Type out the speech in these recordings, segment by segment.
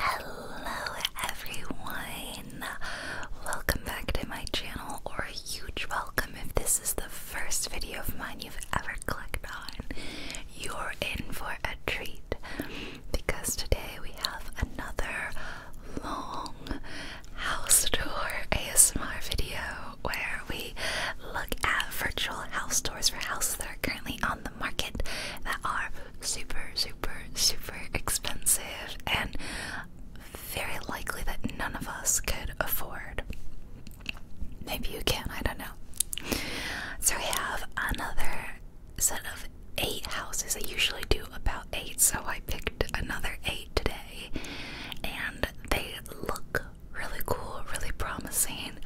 Hello everyone! Welcome back to my channel, or a huge welcome if this is the first video of mine you've ever clicked on. You're in for a treat because today we have another long house tour ASMR video where we look at virtual house doors for houses that are currently on the market that are super, super, super expensive and very likely that none of us could afford. Maybe you can, I don't know. So we have another set of eight houses. I usually do about eight, so I picked another eight today. And they look really cool, really promising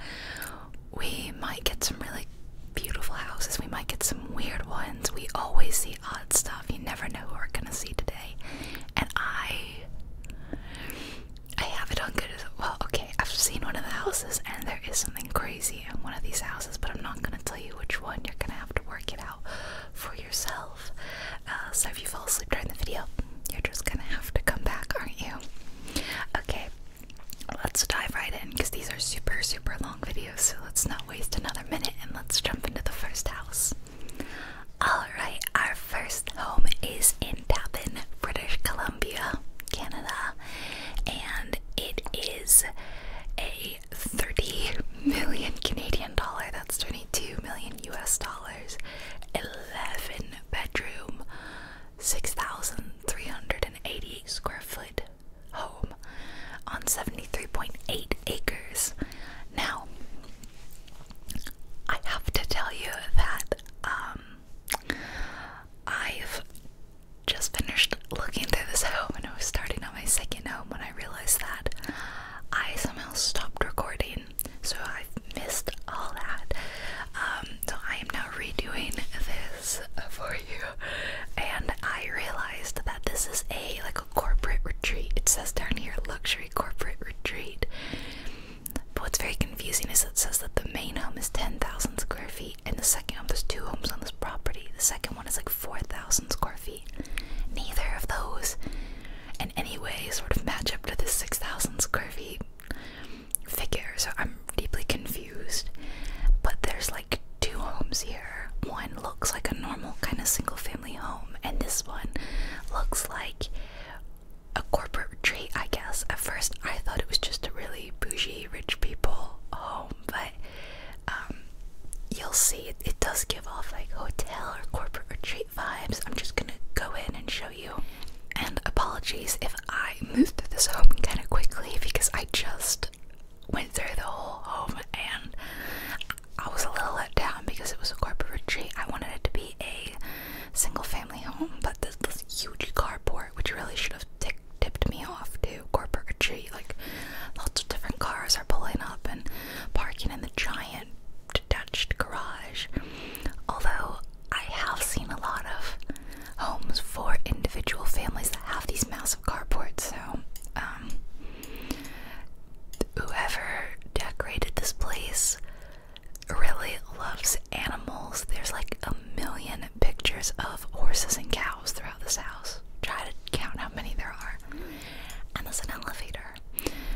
we might get some really beautiful houses. We might get some weird ones. We always see odd stuff. You never know who we're gonna see today. And I, I have it on good well. Okay, I've seen one of the houses, and there is something crazy in one of these houses, but I'm not gonna tell you which one. You're gonna have to work it out for yourself. Uh, so if you fall asleep during the video, you're just gonna have to come back, aren't you? Okay, let's dive right in because these are super, super long videos, so let's not waste another minute and let's jump into the first house. Alright, our first home is in Tappan, British Columbia, Canada, and it is a 30 million Canadian dollar, that's 22 million US dollars, 11 bedroom, six thousand three hundred and eighty square foot home on 73.8 acres. Now, I have to tell you that um, I've just finished looking through this home and I was starting on my second home when I realized that I somehow stopped recording, so I've missed all that. Um, so I am now redoing this for you. And I realized that this is a like a corporate retreat. It says down here luxury corporate retreat. But what's very confusing is it says that the main home is 10,000 square feet, and the second home, there's two homes on this property. The second one is like 4,000 square feet. Neither of those, in any way, sort of match up to this 6,000 square feet figure. So I'm deeply confused. But there's like two homes here. One looks like a normal kind of single family home, and this one looks like a corporate retreat, I guess. At first, I thought it was just a really bougie rich people home, but um, you'll see it, it does give off like hotel or corporate retreat vibes. I'm just gonna go in and show you. And apologies if I moved through this home kind of quickly because I just went through the whole home and I was a little let down because it was a corporate retreat. I wanted it to be a single family home, but this, huge carport, which really should have t tipped me off to corporate retreat. Like lots of different cars are pulling up and parking in the giant detached garage. Although I have seen a lot of homes for individual families that have these massive carports. So, um, whoever decorated this place really loves animals. There's like a million pictures of horses and cows throughout this house. Try to count how many there are. And there's an elevator.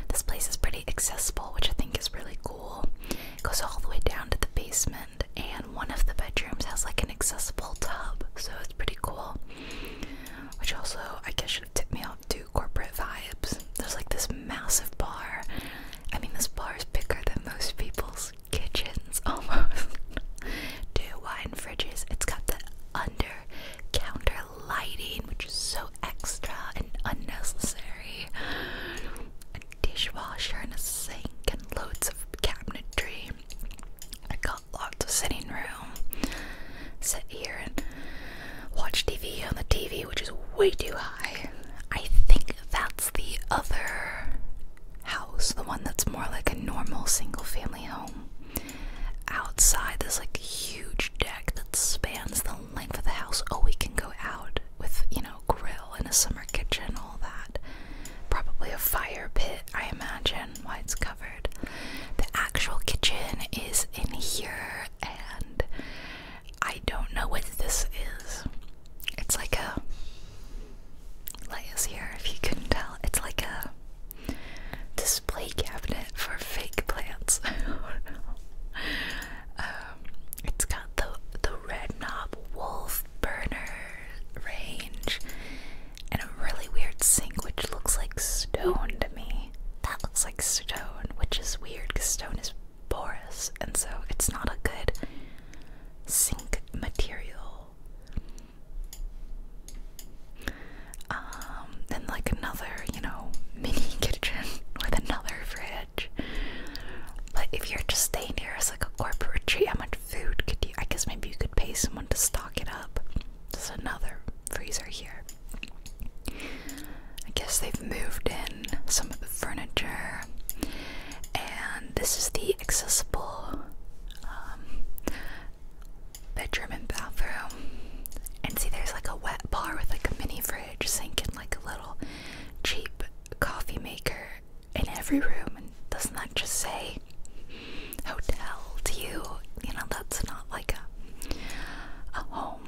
This place is pretty accessible, which I think is really cool. It goes all the way down to the basement and one of the bedrooms has like an accessible tub, so it's pretty cool. Which also, I guess, should have tipped me off to corporate vibes. There's like this massive bar. I mean, this bar is bigger than most people's kitchens almost. Two wine fridges. It's got the under counter lighting, which is so extra and unnecessary. A dishwasher and a sink and loads of cabinetry lots of sitting room. Sit here and watch TV on the TV, which is way too high. I think that's the other house, the one that's more like a normal single family home. Outside, there's like a huge deck that spans the length of the house. Oh, we can go out with, you know, grill and a summer kitchen, all that. Probably a fire pit, I imagine why it's covered. The actual kitchen is in here, and I don't know what this is. It's like a light is here if you couldn't tell. It's like a display cabinet for fake plants. Um, it's got the the red knob wolf burner range and a really weird sink which looks like stone to me. That looks like stone, which is weird because stone is porous and so it's not a good sink material. Um, then like another, you know, mini kitchen with another fridge. But if you're just staying here as like a corporate how much food could I guess maybe you could pay someone to stock it up. There's another freezer here. I guess they've moved in some of the furniture, and this is the accessible um, bedroom and bathroom. And see, there's like a wet bar with like a mini fridge, sink, and like a little cheap coffee maker in every room and doesn't that just say hotel to you? You know, that's not like a a home.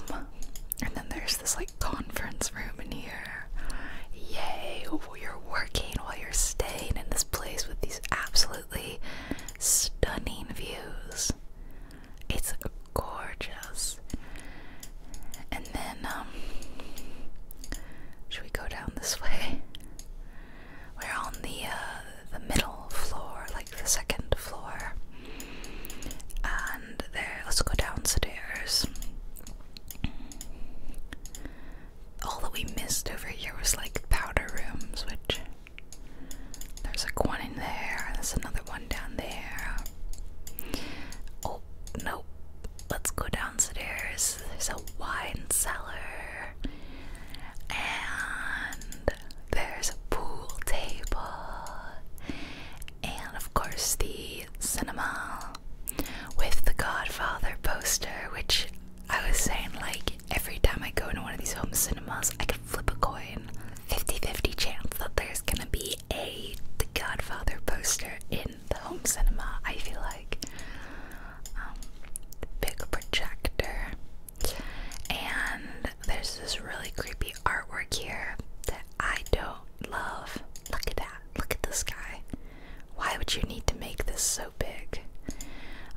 And then there's this like conference room in here. Yay, you're working while you're staying in this place with these absolutely stunning views. It's gorgeous. And then, um, should we go down this way? We're on the uh, the middle floor, like the second floor, and there. Let's go downstairs. All that we missed over here was like powder rooms, which there's like one in there. There's another one down there. Oh nope. Let's go downstairs. There's a wine cellar and there's a pool table, and of course, the cinema with the Godfather poster, which I was saying, like, every time I go into one of these home cinemas, I can flip a coin 50 50 chance that there's gonna be a The Godfather poster in the home cinema. I feel like um, big projector. And there's this really creepy artwork here that I don't love. Look at that. Look at this guy. Why would you need to make this so big?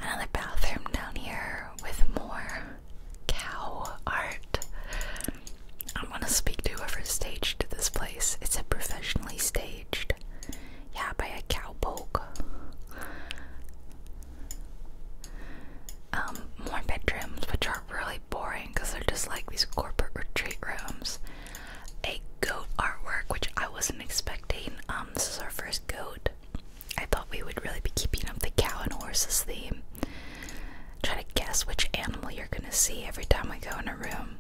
Another bathroom down here with more cow art. I'm gonna speak to whoever staged this place. It's a professionally staged yeah, by a cowpoke. Um, more bedrooms, which are really boring because they're just like these corporate retreat rooms. A goat artwork, which I wasn't expecting. Um, this is our first goat. I thought we would really be keeping up the cow and horses theme. Try to guess which animal you're gonna see every time we go in a room.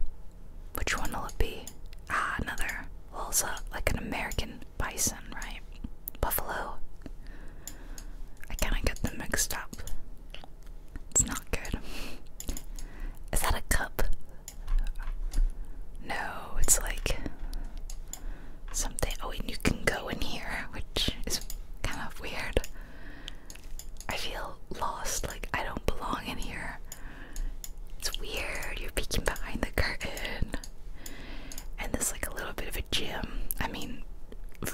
Which one will it be? Ah, another. Well, like an American bison, right? Buffalo. I kind of get them mixed up. It's not good. Is that a cup? No, it's like something. Oh, and you can go in here, which is kind of weird. I feel lost, like I don't belong in here. It's weird. You're peeking behind the curtain. And there's like a little bit of a gym. I mean,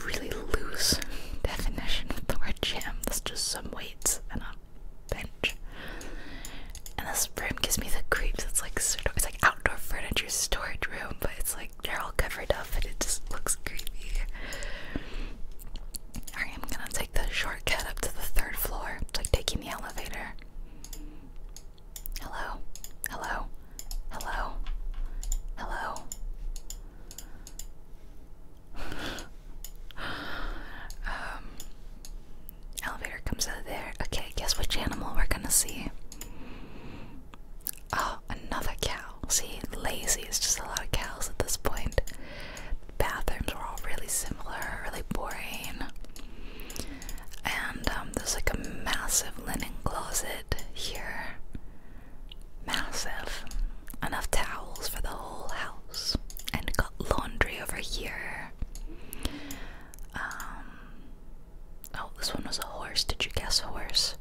really loose definition for a word gym. That's just some weights and a bench. And this room gives me the creeps. It's like sort it's like outdoor furniture storage room, but it's like they're all covered up and it just looks creepy. I'm gonna take the shortcut up to the third floor. It's like taking the elevator. Hello. Hello. Hello. Hello. um elevator comes out of there. Okay, guess which animal we're gonna see. Oh, another cow. See, lazy is just a lot of cows at this point. Bathrooms were all really similar, really boring. And um, there's like a massive linen closet here. Massive. Enough towels for the whole house. And got laundry over here. Um, oh, this one was a horse. Did you guess horse?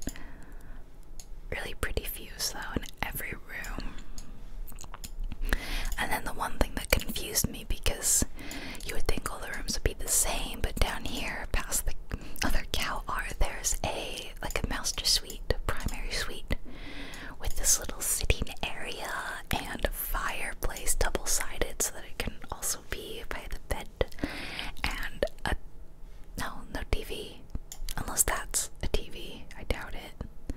Really pretty fuse though in every room. And then the one thing confused me because you would think all the rooms would be the same, but down here, past the other cow art, there's a like a master suite, primary suite, with this little sitting area and fireplace, double-sided, so that it can also be by the bed, and a no, no TV, unless that's a TV. I doubt it.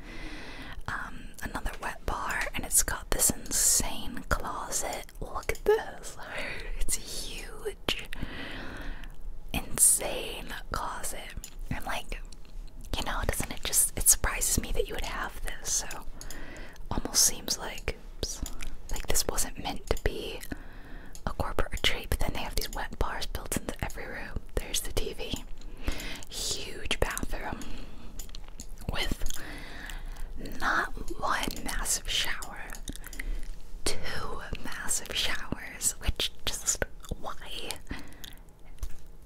Um, another wet bar, and it's got this insane closet Look at this. It's a huge, insane closet. I'm like, you know, doesn't it just, it surprises me that you would have this. So, almost seems like, like this wasn't meant to be a corporate retreat, but then they have these wet bars built into every room. There's the TV. Huge bathroom with not one massive shower, two massive showers, which just why?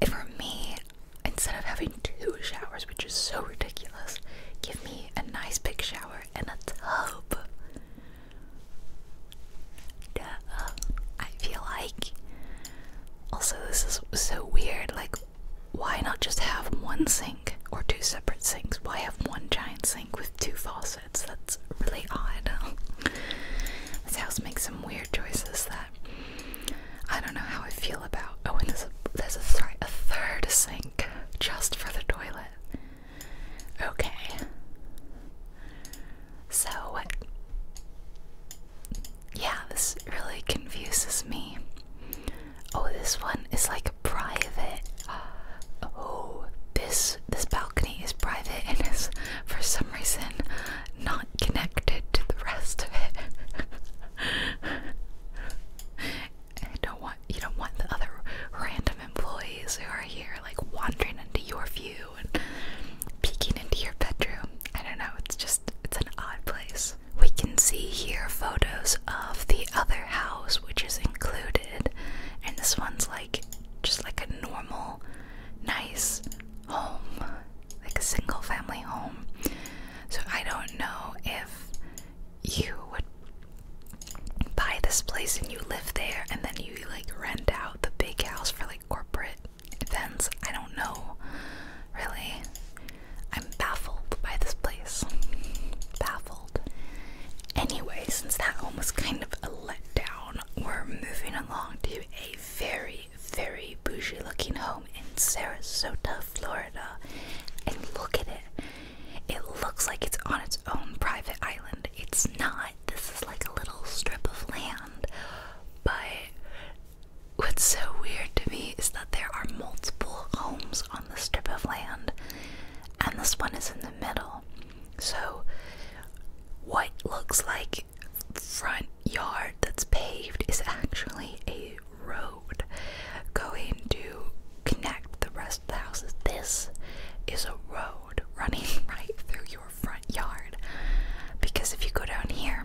For me, instead of having two showers, which is so ridiculous, give me a nice big shower and a tub. Duh. I feel like. Also, this is so weird. Like, why not just have one sink or two separate sinks? Why have one giant sink with two faucets? That's really odd. this house makes some weird choices that I don't know how I feel about. Oh, and there's a third sink just for the toilet. Okay. So yeah, this really confuses me. Oh, this one is like private. Oh, this this balcony is private and is for some reason not connected to the rest of it. I don't want you don't want the other random employees who are here like wandering into your view and peeking into your bedroom. I don't know, it's just it's an odd place. We can see here photos of the other house, which is included, and this one's like just like a normal, nice home, like a single family home. So I don't know if you would buy this place and you live there and then you like rent out the big house for like corporate events. I don't know. Really, I'm baffled by this place. Baffled. Anyway, since that one was kind of a letdown, we're moving along to a very, very bougie looking home in Sarasota, Florida. And look at it. It looks like it's on its own private island. It's not. This is like a little strip of land. But what's so weird to me is that there are multiple homes on the strip of land, and this one is in the middle. So, what looks like front yard that's paved is actually a road going to connect the rest of the houses. This is a road running right through your front yard because if you go down here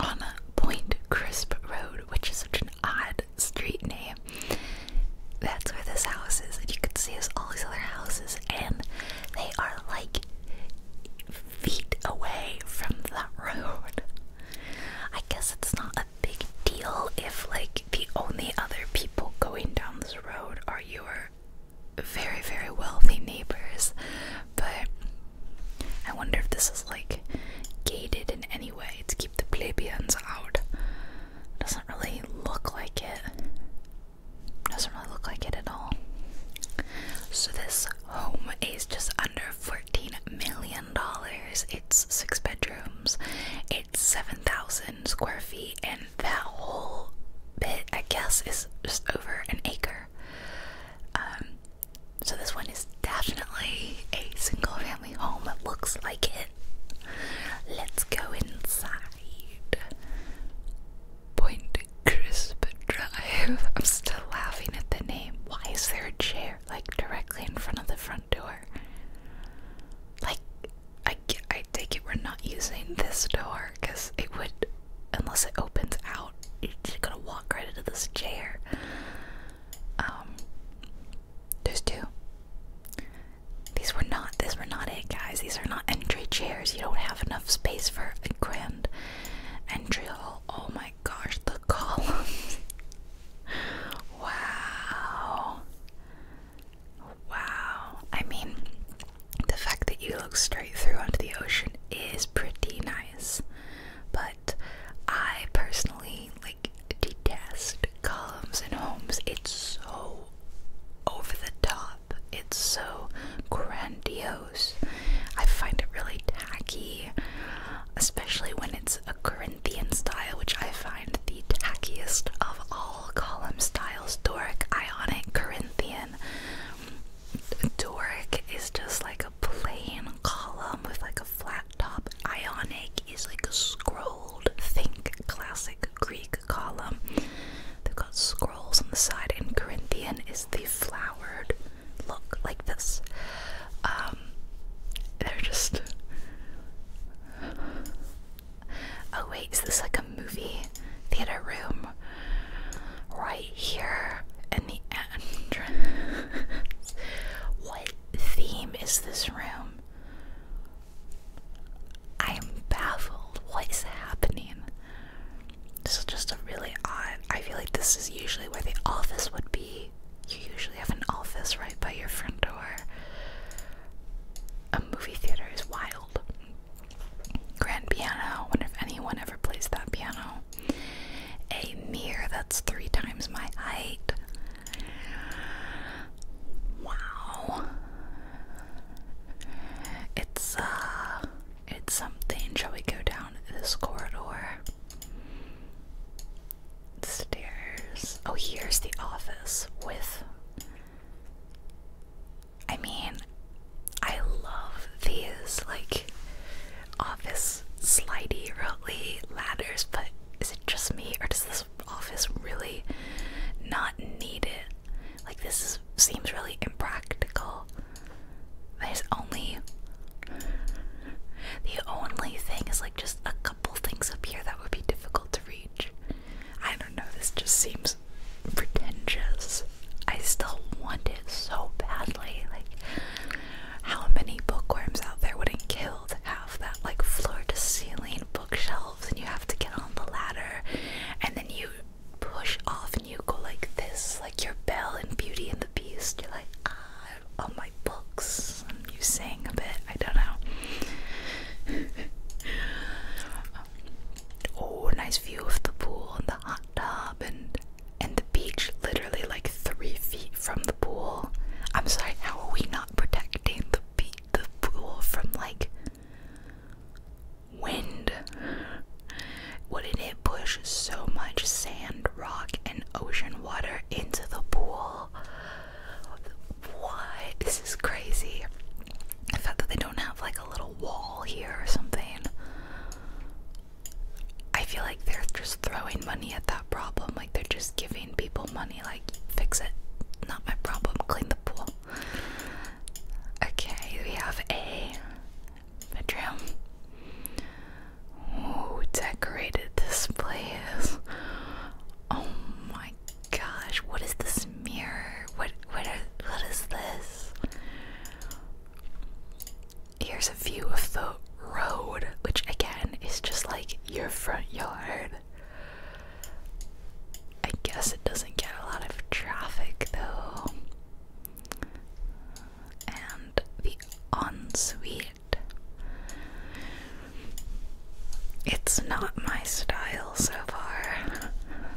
on Point Crisp Road, which is such an odd street name. That's where this house is, and you can see us all these other houses, and they are like feet away from that road. I guess it's not a big deal if like the only other people going down this road are your very, very wealthy neighbors, but I wonder if this is like gated in any way to keep the plebeians out. Doesn't really look like it. Doesn't really look like it at all. So this home is just under fourteen million dollars. It's six bedrooms. It's seven thousand square feet, and that whole bit, I guess, is just over an acre. Um, so this one is definitely a single family home. It looks like it. Let's go inside. Point Crisp Drive. I'm still laughing at the name. Why is there a chair like directly in front of the front door? Like, I, I take it we're not using this door because it would, unless it opens out, you're just gonna walk right into this chair. Um, there's two. These were not. These were not it, guys. These are not entry chairs. You don't have enough space for a grand entry hall. Oh my gosh, the columns. wow. Wow. I mean, the fact that you look straight through onto the ocean is pretty nice. But I personally like detest columns and homes. It's so over the top. It's so grandiose. I find it really tacky, especially when it's a Corinthian style, which I find the tackiest of all column styles. Doric, Ionic, Corinthian. Doric is just like a plain column with like a flat top. Ionic is like a scrolled, think classic Greek column. They've got scrolls on the side, and Corinthian is the flowered look like this. Um, they're just. Oh, wait, is this like a movie theater room? Right here in the entrance. what? theme is this room? I am baffled. What is happening? This is just a really odd. I feel like this is usually where the office would be. You usually have an office right by your front door. A movie theater is wild. Grand piano. I Wonder if anyone ever plays that piano. A mirror that's three times my height. Wow. It's uh it's something. Shall we go down this corridor? Stairs. Oh, here's the office with I mean, I love these like office those slidey, rotely ladders, but is it just me or does this office really not need it? Like, this seems really impractical. There's only. The only thing is like just a couple things up here that would be difficult to reach. I don't know, this just seems pretentious. I still want it so badly. Like, how many bookworms out there wouldn't kill still have that like floor to ceiling bookshelves and you have to get on the ladder and then you push off and you go like this like your bell and beauty and the beast you're like ah all my books and you sing a bit i don't know um, oh nice view of the pool and the hot tub and and the beach literally like three feet from pool. I'm sorry, how are we not protecting the the pool from like wind? Wouldn't it push so much sand, rock, and ocean water into the pool? What? This is crazy. I thought that they don't have like a little wall here or something. I feel like they're just throwing money at that problem. Like they're just giving people money like fix it. Not my problem. Clean the pool. Okay, we have a bedroom. Oh, decorated this place. Oh my gosh, what is this mirror? What what what is this? Here's a view of the road, which again is just like your front yard. I guess it doesn't get a lot of traffic though. And the ensuite. It's not my style so far.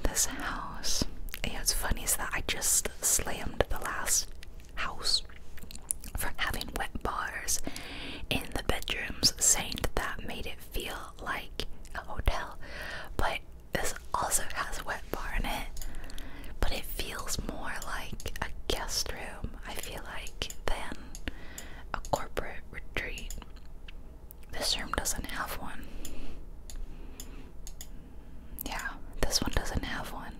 This house. Yeah, it's funny is that I just slammed the last house for having wet bars in the bedrooms, saying that, made it feel like a hotel. But this also has a wet bar in it, but it feels more like a guest room, I feel like, than a corporate retreat. This room doesn't have one. Yeah, this one doesn't have one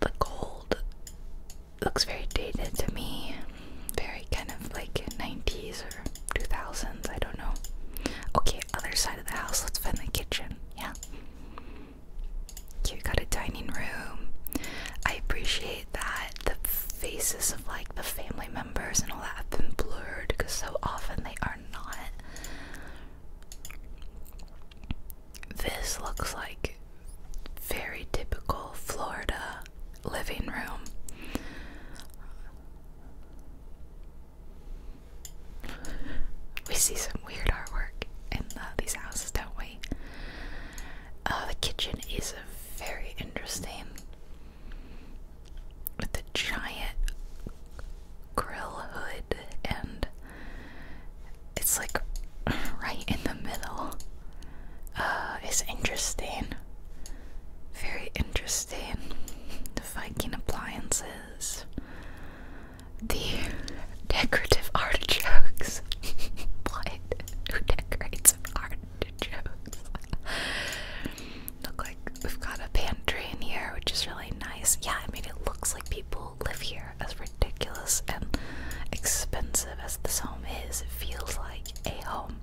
the gold looks very dated to me. Very kind of like 90s or 2000s, I don't know. Okay, other side of the house, let's find the kitchen. Yeah. You got a dining room. I appreciate that the faces of like the family members and all that have been blurred because so often they are not. This looks like very typical Florida living room. We see some weird artwork in uh, these houses, don't we? Uh, the kitchen is very interesting with the giant grill hood and it's like right in the middle. Uh, it's interesting. Very interesting. The Viking appliances. The decorative artichokes. Who decorates artichokes? Look like we've got a pantry in here, which is really nice. Yeah, I mean, it looks like people live here, as ridiculous and expensive as this home is, it feels like a home.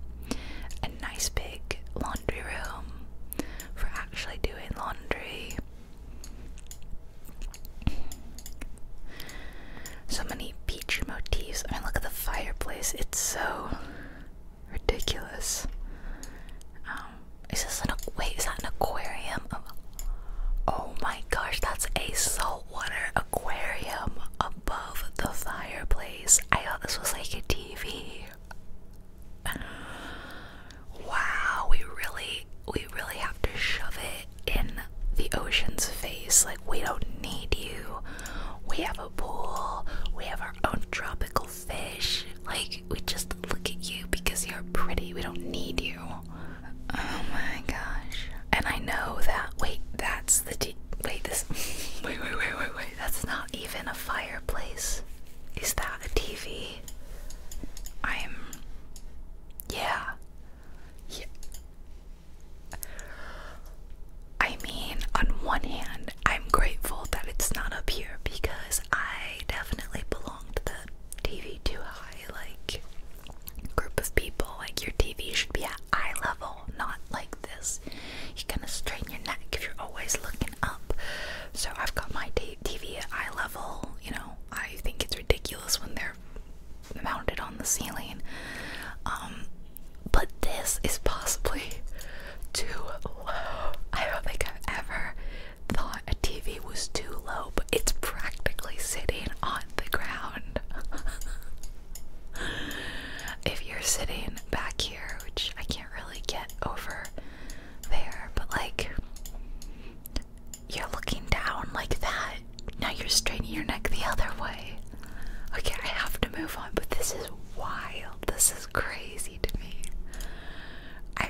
A nice big laundry room for actually doing laundry. So many beach motifs. I mean, look at the fireplace, it's so ridiculous. Um, is this an aquarium? Oh, Oh my gosh, that's a saltwater aquarium above the fireplace. I thought this was like a TV. Wow, we really we really have to shove it in the ocean's face. Like we don't need you. We have a pool. We have our own tropical fish. Like we just look at you because you're pretty. We don't need you. Oh my gosh. And I know that. Wait, that's the. De wait, this. wait, wait, wait, wait, wait. That's not even a fireplace. Is that a TV? I'm. Yeah. Yeah. I mean, on one hand, I'm grateful that it's not up here because I definitely belong to the TV too high like group of people. Like your TV should be at eye level, not like this. You are gonna strain your neck if you're always looking up. So I've got my TV at eye level. You know, I think it's ridiculous when they're mounted on the ceiling. Um, but this is possibly too low. I don't think I've ever thought a TV was too low it's practically sitting on the ground. if you're sitting back here, which I can't really get over there, but like you're looking down like that. Now you're straining your neck the other way. Okay, I have to move on, but this is wild. This is crazy to me. I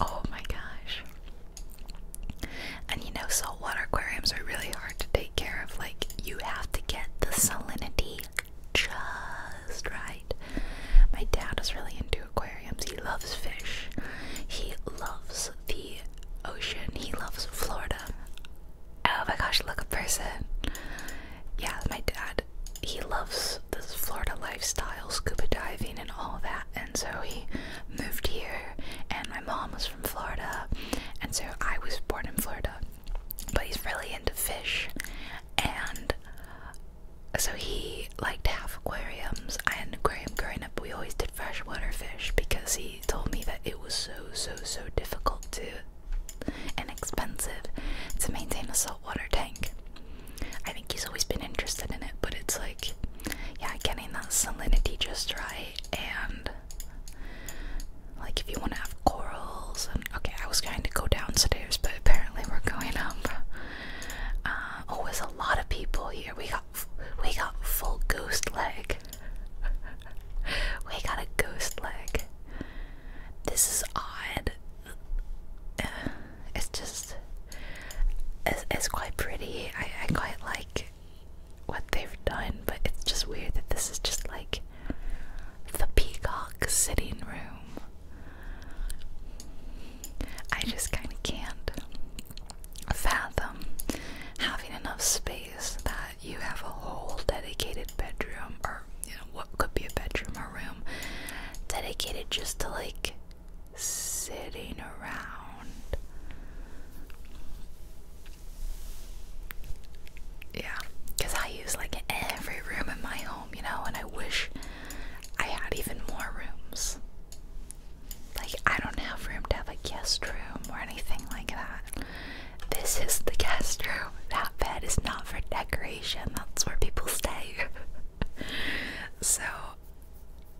oh my gosh. And you know, saltwater aquariums are really hard to take care of. Like, you have to get the salinity just right. My dad is really into aquariums. He loves fish, he loves the ocean, he loves Florida. Oh my gosh, look, a person. Yeah, my dad, he loves this Florida lifestyle, scuba diving, and all that. And so he moved here, and my mom was from Florida, and so I was born in Florida. But he's really into fish, and so he liked to have aquariums. I had an aquarium growing up. We always did freshwater fish because he told me that it was so, so, so difficult to and expensive to maintain a saltwater tank. I think he's always been interested in it, but it's like, yeah, getting that salinity just right and like if you want to have corals and okay I was going to go downstairs but apparently we're going up Always uh, oh, a lot of people here we got we got full ghost leg we got a ghost leg this is odd uh, it's just it's, quite pretty I quite like what they've done, but it's just weird that this is just like the peacock sitting room. I just kind of can't fathom having enough space that you have a whole dedicated bedroom, or you know, what could be a bedroom or room, dedicated just to like sitting around around. Yeah, because I use like every room in my home, you know, and I wish I had even more rooms. Like, I don't have room to have a guest room or anything like that. This is the guest room. That bed is not for decoration, that's where people stay. so,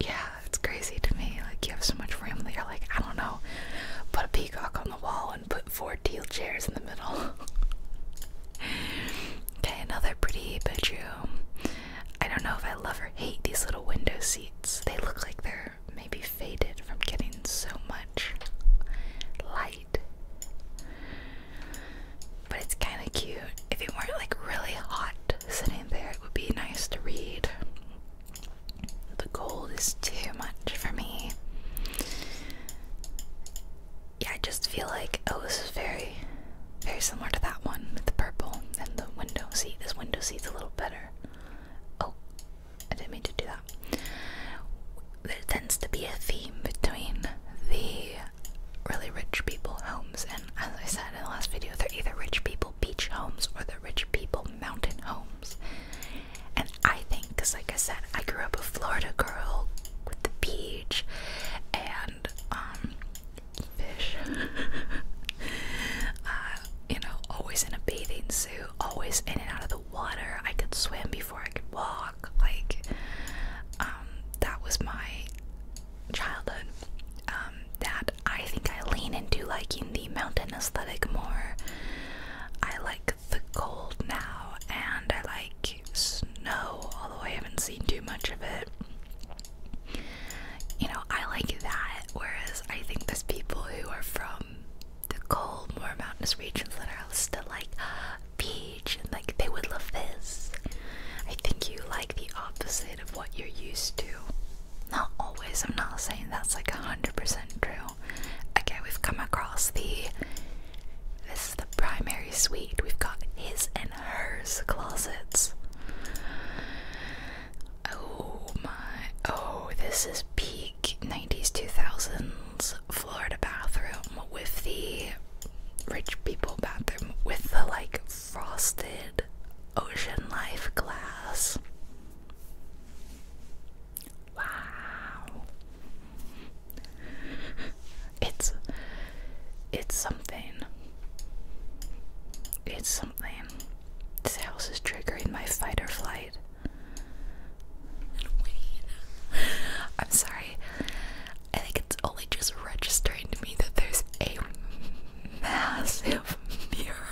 yeah, it's crazy to me. Like, you have so much room that you're like, I don't know, put a peacock on the wall and put four teal chairs in the middle. okay, another pretty bedroom. I don't know if I love or hate these little window seats. They look like they're maybe faded from getting so much light. But it's kind of cute. If it weren't like really hot sitting there, it would be nice to read. The gold is too much for me. Yeah, I just feel like oh, this is very, very similar to that one with the purple and the window seat. This window seat's a little better. Oh, I didn't mean to do that. There tends to be a theme between the really rich people homes, and as I said in the last video, they're either rich people beach homes or they're rich people mountain homes. And I think, because like I said, I grew up a Florida girl with the beach and um, fish. Uh, you know, always in a bathing suit, always in and out of the water. I could swim before I could walk. Like, um, that was my childhood. Um, that I think I lean into liking the mountain aesthetic more. I like the cold now, and I like snow, although I haven't seen too much of it. You know, I like that, whereas I think there's people who are from the cold, more mountainous regions that are still like beach and like they would love this. I think you like the opposite of what you're used to not always, I'm not saying that's like 100% true. Okay, we've come across the this is the primary suite. We've got his and hers closets. Oh my. Oh, this is peak 90s 2000s Florida bathroom with the rich people bathroom with the like frosted ocean life glass. Wow. It's it's something. It's something. This house is triggering my fight or flight. I'm sorry. I think it's only just registering to me that there's a massive mirror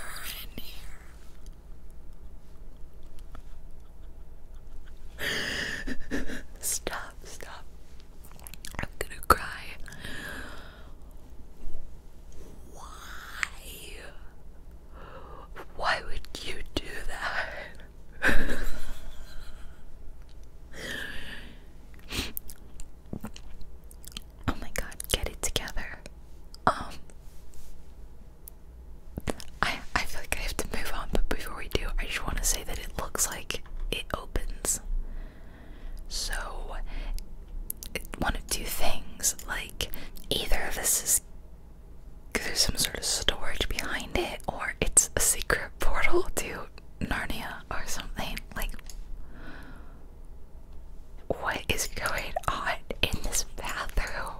in here. stop, stop. I'm gonna cry. Why? Why would you do that? oh my god, get it together. Um I I feel like I have to move on, but before we do, I just want to say that it looks like it opens. So, it, one of two things, like either this is there's some sort of storage behind it, or it's a secret portal to Narnia or something. Like, what is going on in this bathroom?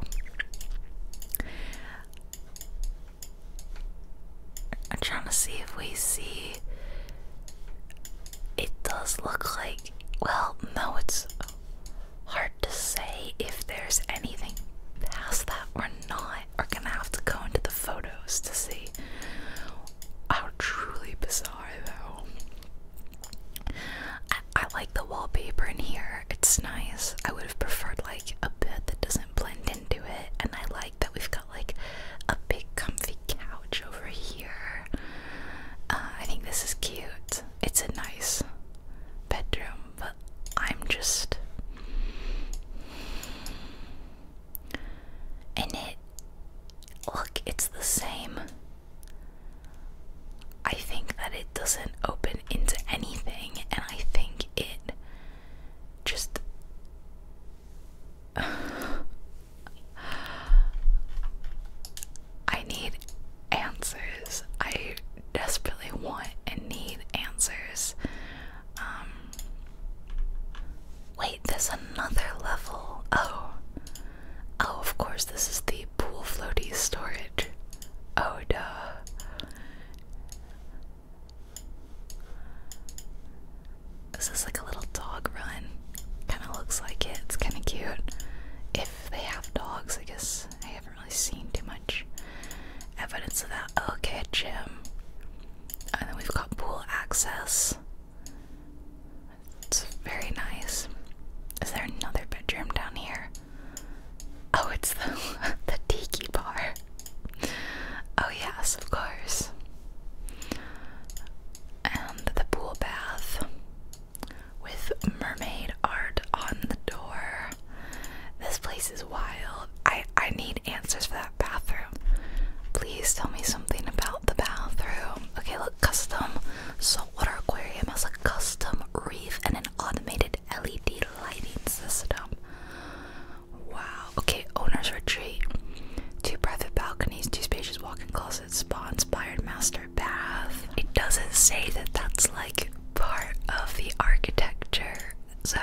I'm trying to see if we see. It does look like. Well, no, it's hard to say if there's anything past that or not. We're gonna have to go into the photos to see. How truly bizarre, though. I, like the wallpaper in here. It's nice. I would have preferred like a bed that doesn't blend into it, and I like that we've got like a big comfy couch over here. Uh, I think this is cute. It's a nice bedroom, but I'm just and it look, it's the same. I think that it doesn't open into anything, and I think it just. I need answers. I desperately want and need answers. Um. Wait, there's another level. Oh. Oh, of course, this is the pool floaty storage. Oh, duh. This is like a little dog run. Kind of looks like it. It's kind of cute. If they have dogs, I guess I haven't really seen too much evidence of that. Okay, Jim. And then we've got pool access. It's very nice. Is there another bedroom down here? Oh, it's the the tiki bar. Oh yes, of course. And the pool bath with mermaid art on the door. This place is wild. I I need answers for that bathroom. Please tell me something about the bathroom. Okay, look, custom saltwater aquarium has a custom reef and an automated LED lighting system. Wow. Okay, owner's retreat. Two private balconies, two spacious walk-in closets, spa-inspired master bath. It doesn't say that that's like part of the architecture, so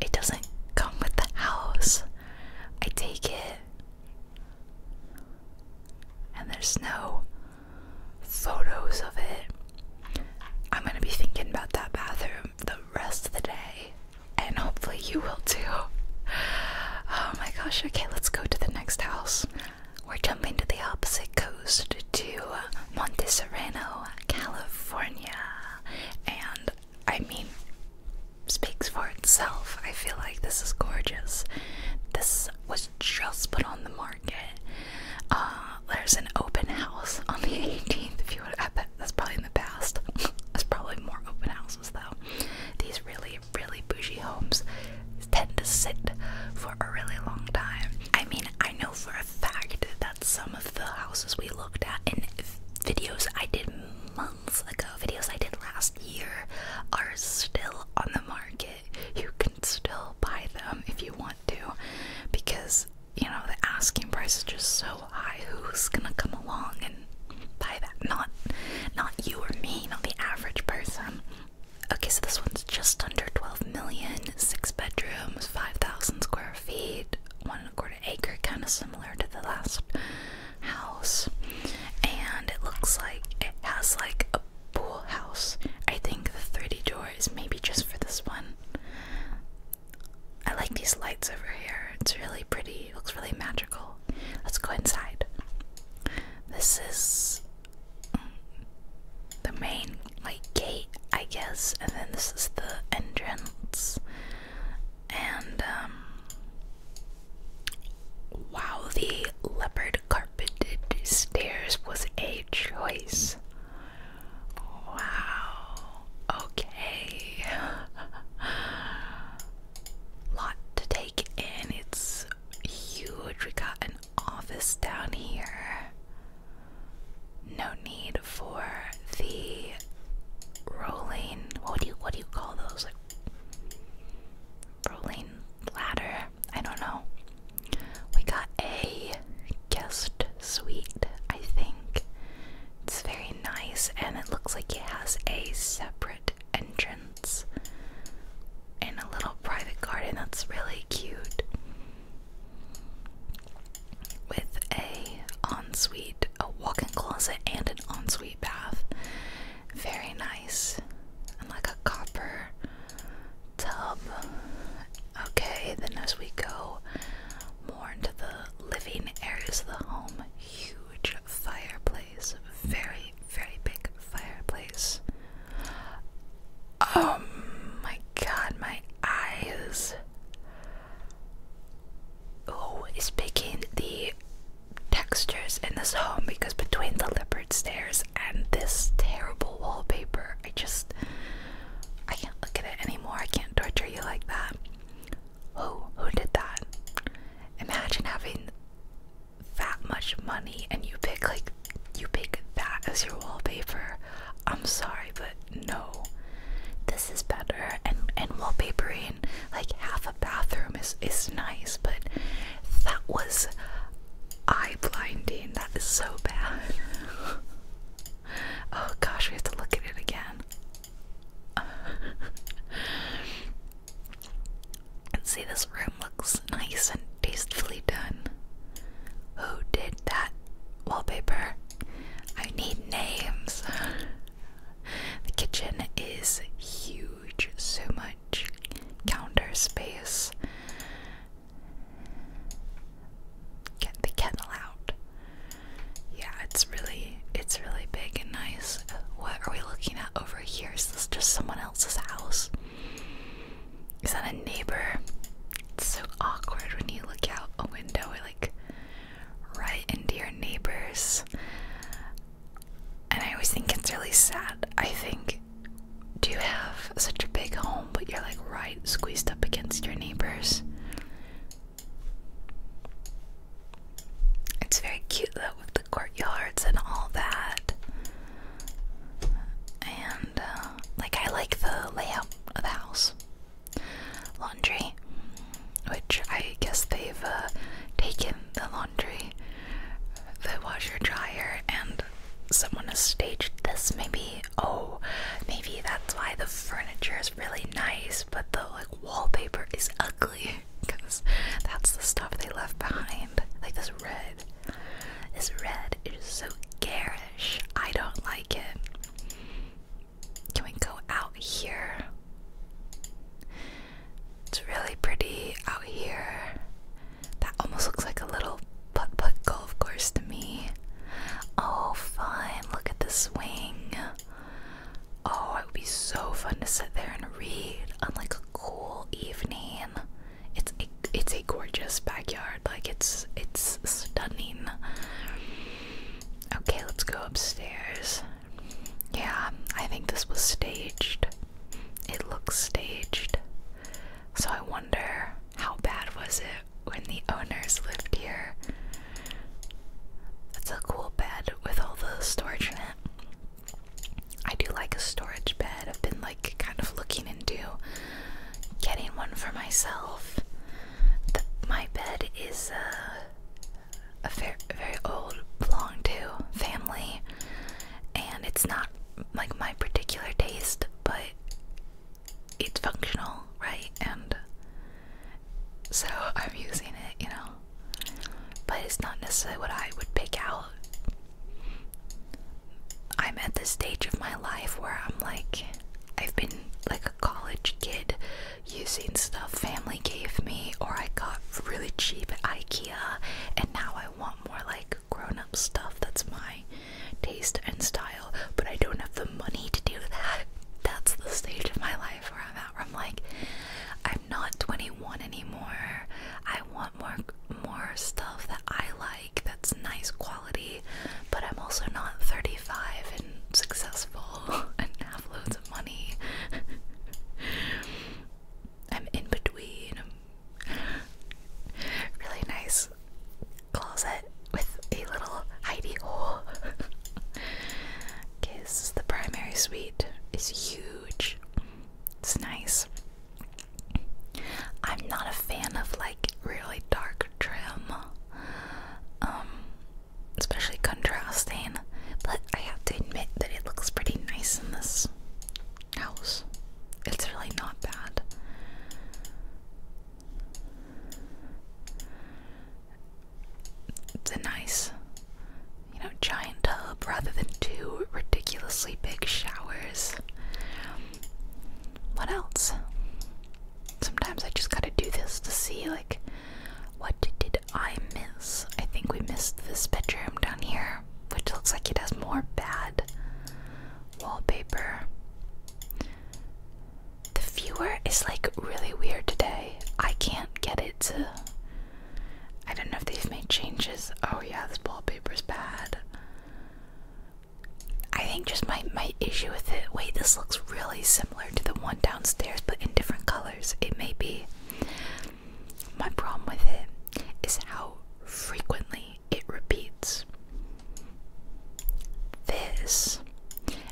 it doesn't come with the house. I take it. And there's no photos of it. I'm gonna be thinking about that bathroom the rest of the day, and hopefully, you will too. Oh my gosh, okay, let's go to the next house. We're jumping to the opposite coast to Monte California, and I mean, speaks for itself. I feel like this is gorgeous. This was just put on the market. Uh, there's an open house on the 18th. If you would, I bet that's probably in the past. There's probably more open houses though. These really, really bougie homes tend to sit for a really long time. I mean, I know for a fact that some of the houses we looked at in videos I did months ago, videos I did last year, are still on the market. You can still buy them if you want to because you know the asking price is just so high who's gonna come along and buy that not not you or me not the average person okay so this one's just under 12 million six bedrooms 5000 square feet one and a quarter acre kind of similar to the last house and it looks like it has like pool house. I think the 30 door is maybe just for this one. I like these lights over here. It's really pretty. It looks really magical. Let's go inside. This is the main like gate, I guess, and then this is the entrance. And um, wow, the leopard carpet but carpeted stairs was a choice. Wow. Okay. Lot to take in. It's huge. We got an office down here. No need for the rolling. What do you what do you call those? Like rolling ladder. I don't know. We got a guest suite, I think. It's very nice and it looks like it has a separate entrance and a little private garden that's really cute with a ensuite, a walk-in closet and an ensuite bath. Very nice. And like a copper tub Okay, then as we go more into the living areas of the home, huge fireplace, very, very big fireplace. Oh my god, my eyes. Oh, is picking the textures in this home because between the lip stairs and this terrible wallpaper. I just I can't look at it anymore. I can't torture you like that. Who who did that? Imagine having that much money and you pick like you pick that as your wallpaper. I'm sorry, but no. This is better and and wallpapering like half a bathroom is is nice, but that was eye blinding. That is so bad. oh gosh, we have to look at it again. and see, this room looks nice and tastefully done. Who did that wallpaper? I need names. the kitchen is huge, so much counter space get the kettle out. Yeah, it's really it's really big and nice. What are we looking at over here? Is this just someone else's house? Is that a neighbor? It's so awkward when you look out a window like right into your neighbors. And I always think it's really sad. I think do you have such a big home, but you're like right squeezed up against your neighbors? It's very cute though, with the courtyards and all that. And, uh, like, I like the layout of the house. Laundry, which I guess they've uh, taken the laundry, the washer dryer, and someone has staged this. Maybe, oh, maybe that's why the furniture is really nice, but the like wallpaper is ugly because that's the stuff they left behind. Like this red, this red is so garish. I don't like it. Can we go out here? It's really pretty out here. That almost looks like a little putt putt golf course to me. Oh, fun. Look at the swing. Oh, it would be so fun to sit there and read on like a cool evening. It's a, it's a gorgeous backyard. Like it's it's stunning. Okay, let's go upstairs. Yeah, I think this was staged. It looks staged. So I wonder how bad was it when the owners lived here? That's a cool bed with all the storage in it. I do like a storage bed. I've been like kind of looking into getting one for myself. my bed is uh, a fair, very old, belonged to family, and it's not like my particular taste, but it's functional, right? And so I'm using it, you know. But it's not necessarily what I would pick out. I'm at the stage of my life where I'm like, I've been like a college kid using stuff family gave me or I got really cheap IKEA, and now I want more like grown up stuff. That's my taste and style, but I don't have the money to do that. That's the stage of my life where I'm at, where I'm like, I'm not 21 anymore. I want more more stuff that I like that's nice quality, but I'm also not 35 and successful and have loads of money. I'm in between. Really nice closet with a little hidey hole. okay, the primary suite. is huge. It's nice. I'm not a fan of like really dark trim. Um, especially contrasting, but I have to admit that it looks pretty nice in this house. It's really not bad. It's a nice, you know, giant tub rather than two ridiculously big showers. What else? Sometimes I just gotta do this to see, like, what did I miss? I think we missed this bedroom down here, which looks like it has more bad wallpaper. The viewer is like really weird today. I can't get it to. I don't know if they've made changes. Oh yeah, this wallpaper is bad. I think just my my issue with it. Wait, this looks really similar to the one downstairs, but in different colors. It may be. My problem with it is how frequently it repeats this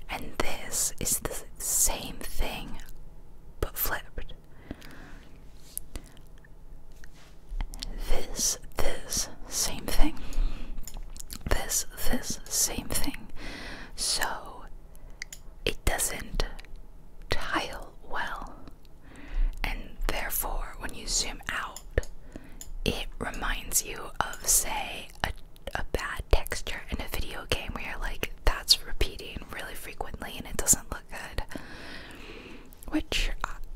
and this is the same thing but flipped. This, this, same thing. This, this, same thing. So it doesn't tile well. And therefore, when you zoom out it reminds you of, say, a, bad texture in a video game where you're like, that's repeating really frequently and it doesn't look good. Which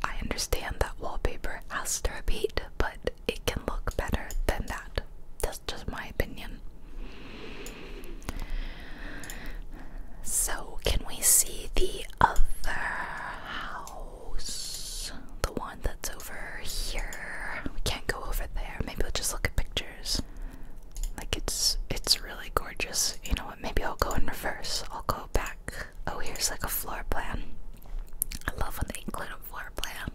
I understand that wallpaper has to repeat, but it can look better than that. That's just my opinion. So, can we see the other? How the one that's over here. We can't go over there. Maybe we'll just look at pictures. Like it's it's really gorgeous. You know what? Maybe I'll go in reverse. I'll go back. Oh, here's like a floor plan. I love when they include a floor plan.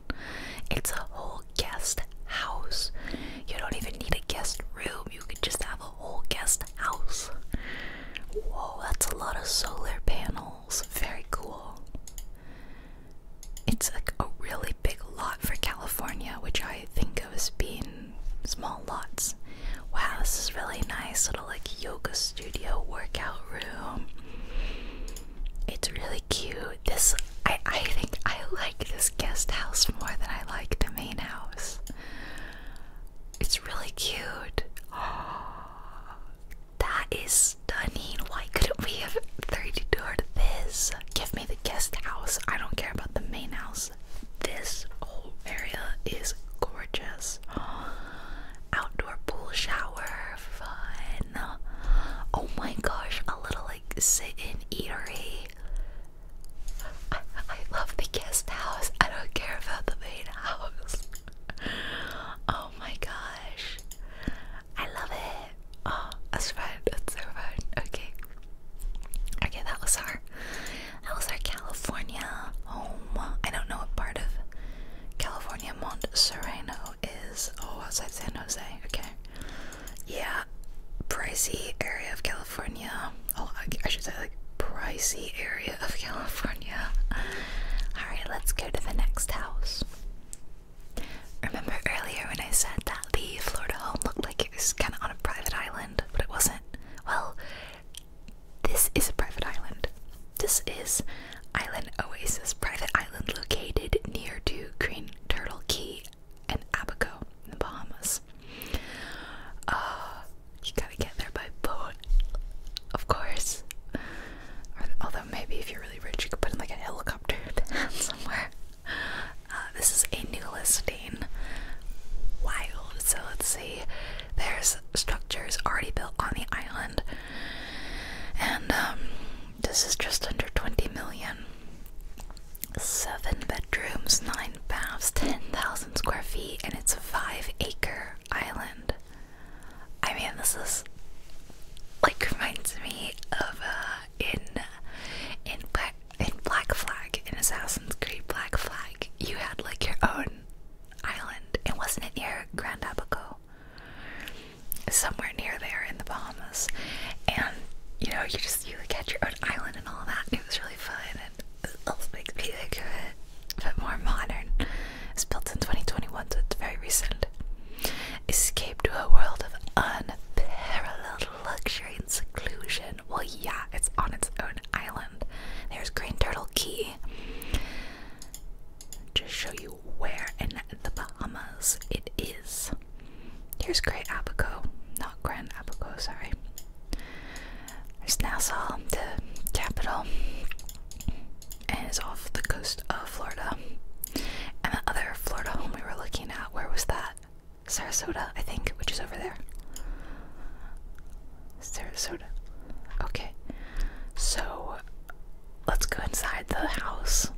It's a whole guest house. You don't even need a guest room. You can just have a whole guest house. Whoa, that's a lot of solar panels malls. Very cool. It's like a really big lot for California, which I think of as being small lots. Wow, this is really nice little like yoga studio workout room. It's really cute. This I I think I like this guest house more than I like the main house. It's really cute. Oh, that is stunning. Why couldn't we have thirty 32 or this? Give me the guest house. I don't care about the main house. This whole area is gorgeous. Outdoor pool shower, fun. Oh my gosh, a little like sit in eatery. I love the guest house. I don't care about the main house oh my gosh. I love it. Oh, that's right. That's so fun. Okay. Okay, that was our that was our California home. I don't know what part of California Mont Sereno is. Oh, outside San Jose. Okay. Yeah. Pricey area of California. Oh, I should say like pricey area of California. All right, let's go to the next house. Remember earlier when I said that the Florida home looked like it was kind of on a private island, but it wasn't? Well, this is a private island. This is Island Oasis, private island located near to Green Turtle Key and Abaco in the Bahamas. Uh, you gotta get there by boat, of course although maybe if you're really rich, you could put in like a helicopter somewhere. Uh, this is a new listing. Wild. So let's see. There's structures already built on the island, and um, this is just under 20 million. Seven bedrooms, nine baths, 10,000 square feet, and it's a five acre Island. I mean, this is like reminds me of uh, in in Black in Black Flag in Assassin's Creed Black Flag. You had like your own island, It wasn't near Grand Abaco? Somewhere near there in the Bahamas, and you know you just you like had your own island and all that. And it was really fun, and it also makes me think of it, but more modern. It's built in 2021, so it's very recent. Escape to a world of unparalleled luxury and seclusion. Well, yeah, it's on its own island. There's Green Turtle Key. Just show you where in the Bahamas it is. Here's Great Abaco, not Grand Abaco, sorry. There's Nassau, the capital and is off the coast of Florida. And the other Florida home we were looking at, where was that? Sarasota, I think, which is over there. Sarasota. Okay. So let's go inside the house.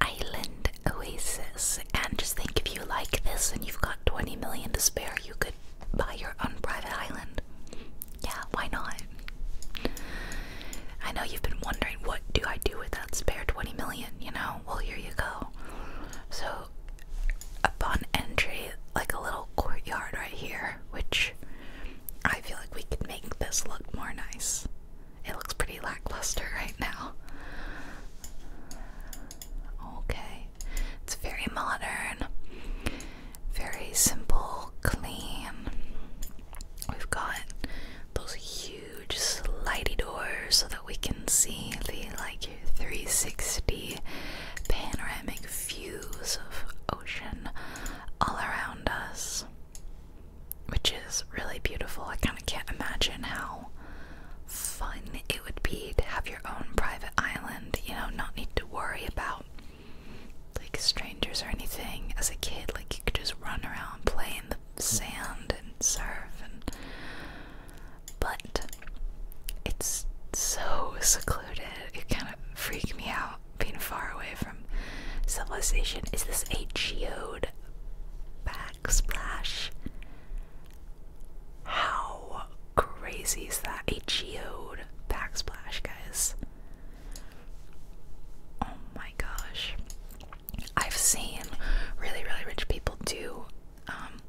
Island Oasis. And just think if you like this and you've got 20 million to spare, you could buy your own private island. Yeah, why not? I know you've been wondering what do I do with that spare 20 million, you know? Well, here you go. So, upon entry, like a little courtyard right here, which I feel like we could make this look more nice. It looks pretty lackluster right now. Okay, it's very modern, very simple, clean. We've got those huge slidey doors so that we can see the like 360 panoramic views of ocean all around us, which is really beautiful. I kind of can't imagine how fun it would be to have your own private island, you know, not need to worry about like strangers or anything. As a kid, like you could just run around, play in the sand and surf, and but it's so secluded. It kind of freaked me out being far away from civilization. Is this a geode backsplash? How crazy is that? A geode backsplash, guys. Oh my gosh. I've seen really, really rich people do, um,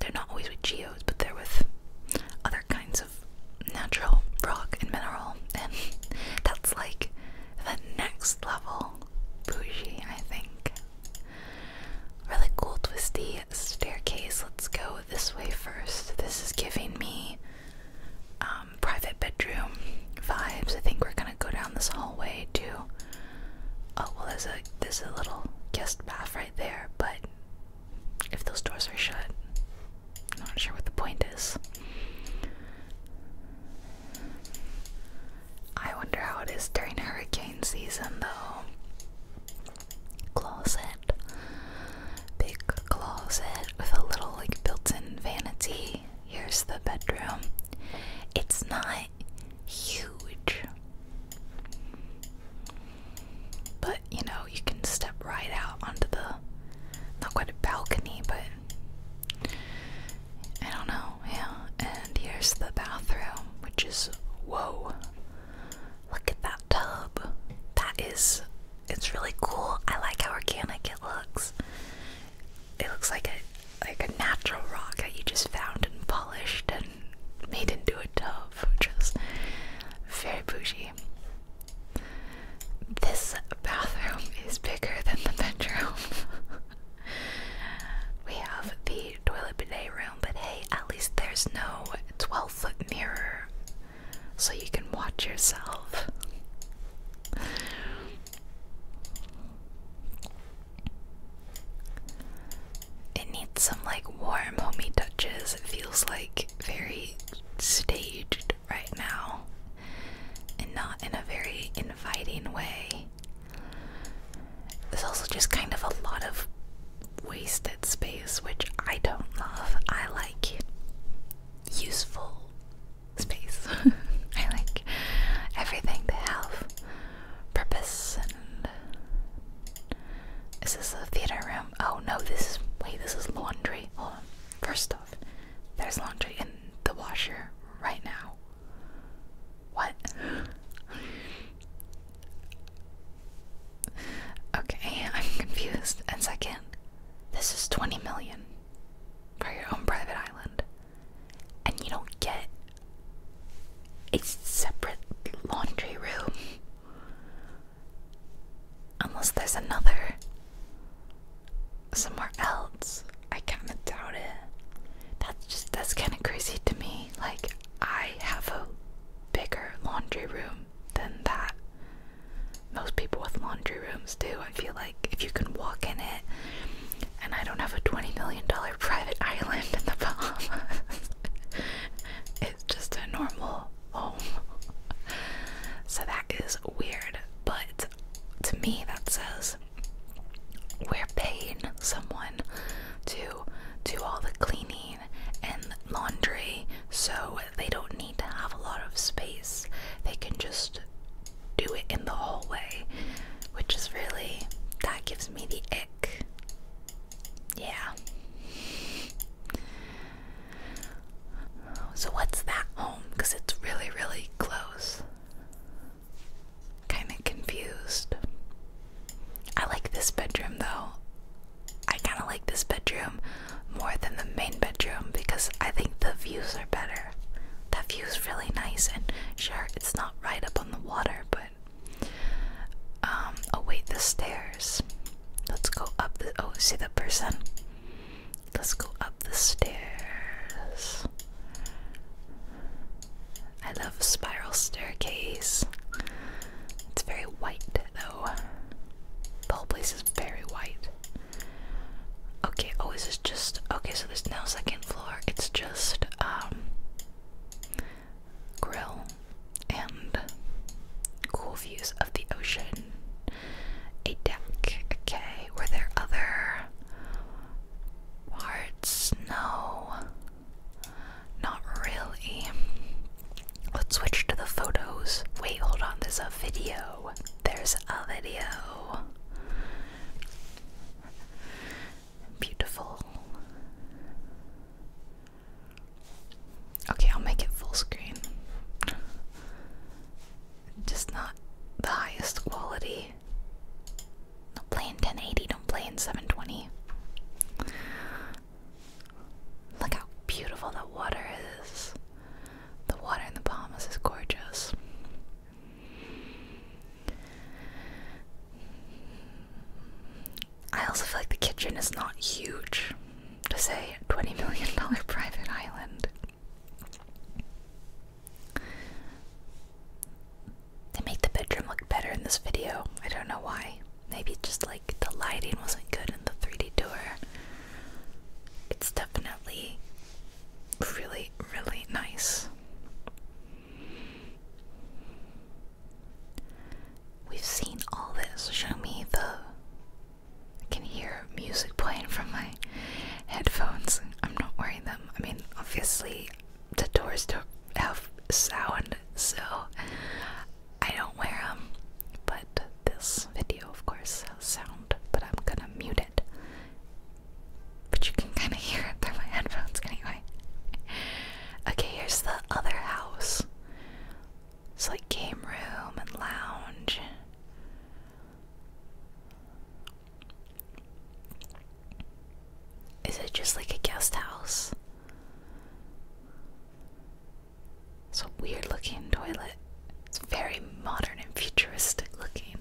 they're not always with geos, but they're with other kinds of natural rock and mineral, and that's like the next level bougie, I think. Really cool, twisty staircase. Let's go this way first. This is giving me um, um, private bedroom vibes. I think we're gonna go down this hallway to. Oh well, there's a there's a little guest bath right there, but if those doors are shut, I'm not sure what the point is. I wonder how it is during hurricane season, though. Closet big closet with a little like built-in vanity. Here's the bedroom. It's not huge. But you know, you can step right out onto the not quite a balcony, but I don't know, yeah. And here's the bathroom, which is whoa. Look at that tub. That is it's really cool. I like how organic it looks. It looks like a like a natural rock that you just found and polished and made into a tub. Just very bougie. This bathroom is bigger than the bedroom. we have the toilet bidet room, but hey, at least there's no 12 foot mirror so you can watch yourself. It needs some like warm, homey touches. It feels like very staged right now and not in a very inviting way. There's also just kind of a lot of wasted space, which I don't love. I like useful space. I like everything they have purpose and is this a theater room? Oh no, this is wait, this is laundry. Hold on. First off, there's laundry in the washer right now. What? okay, I'm confused. And second, this is 20 million for your own private island, and you don't get a separate laundry room unless there's another somewhere else. I kind of doubt it. That's just that's kind of crazy to me. Like I have a bigger laundry room than that most people with laundry rooms do. I feel like if you can walk in it, and I don't have a $20 million private island in the Bahamas, it's just a normal home. So that is weird, but to me, that says we're paying someone to do all the cleaning and laundry so they don't need to have a lot of space. They can just do it in the hallway, which is really that gives me the ick. Yeah. So, what's that home? Because it's really, really close. Kind of confused. I like this bedroom though. I kind of like this bedroom more than the main bedroom because I think the views are better. That view is really nice, and sure, it's not right up on the water, but. Um, oh, wait, the stairs. Let's go up the. Oh, see the person? Let's go up the stairs. I love spiral staircase. It's very white, though. The whole place is very white. Okay, oh, is this just okay? So there's now second floor, it's just um grill and cool views of the ocean. A deck, okay. Were there other parts? No, not really. Let's switch to the photos. Wait, hold on, there's a video. There's a video beautiful. Okay, I'll make it full screen. Just not the highest quality. Don't play in 1080, don't play in 720. Look how beautiful the water is. The water in the Bahamas is gorgeous. I also feel like the kitchen is not huge to say $20 million private island. They make the bedroom look better in this video. I don't know why. Maybe just like the lighting wasn't good in the 3D tour. It's definitely really, really nice. We've seen all this. Show me the. I can hear music playing from my headphones. I'm not wearing them. I mean, obviously, the doors don't have sound, so I don't wear them. But this video, of course, has sound, but I'm gonna mute it but you can kind of hear it through my headphones anyway. Okay, here's the other house. It's like game room and lounge. Is it just like a guest house? It's a weird looking toilet. It's very modern and futuristic looking.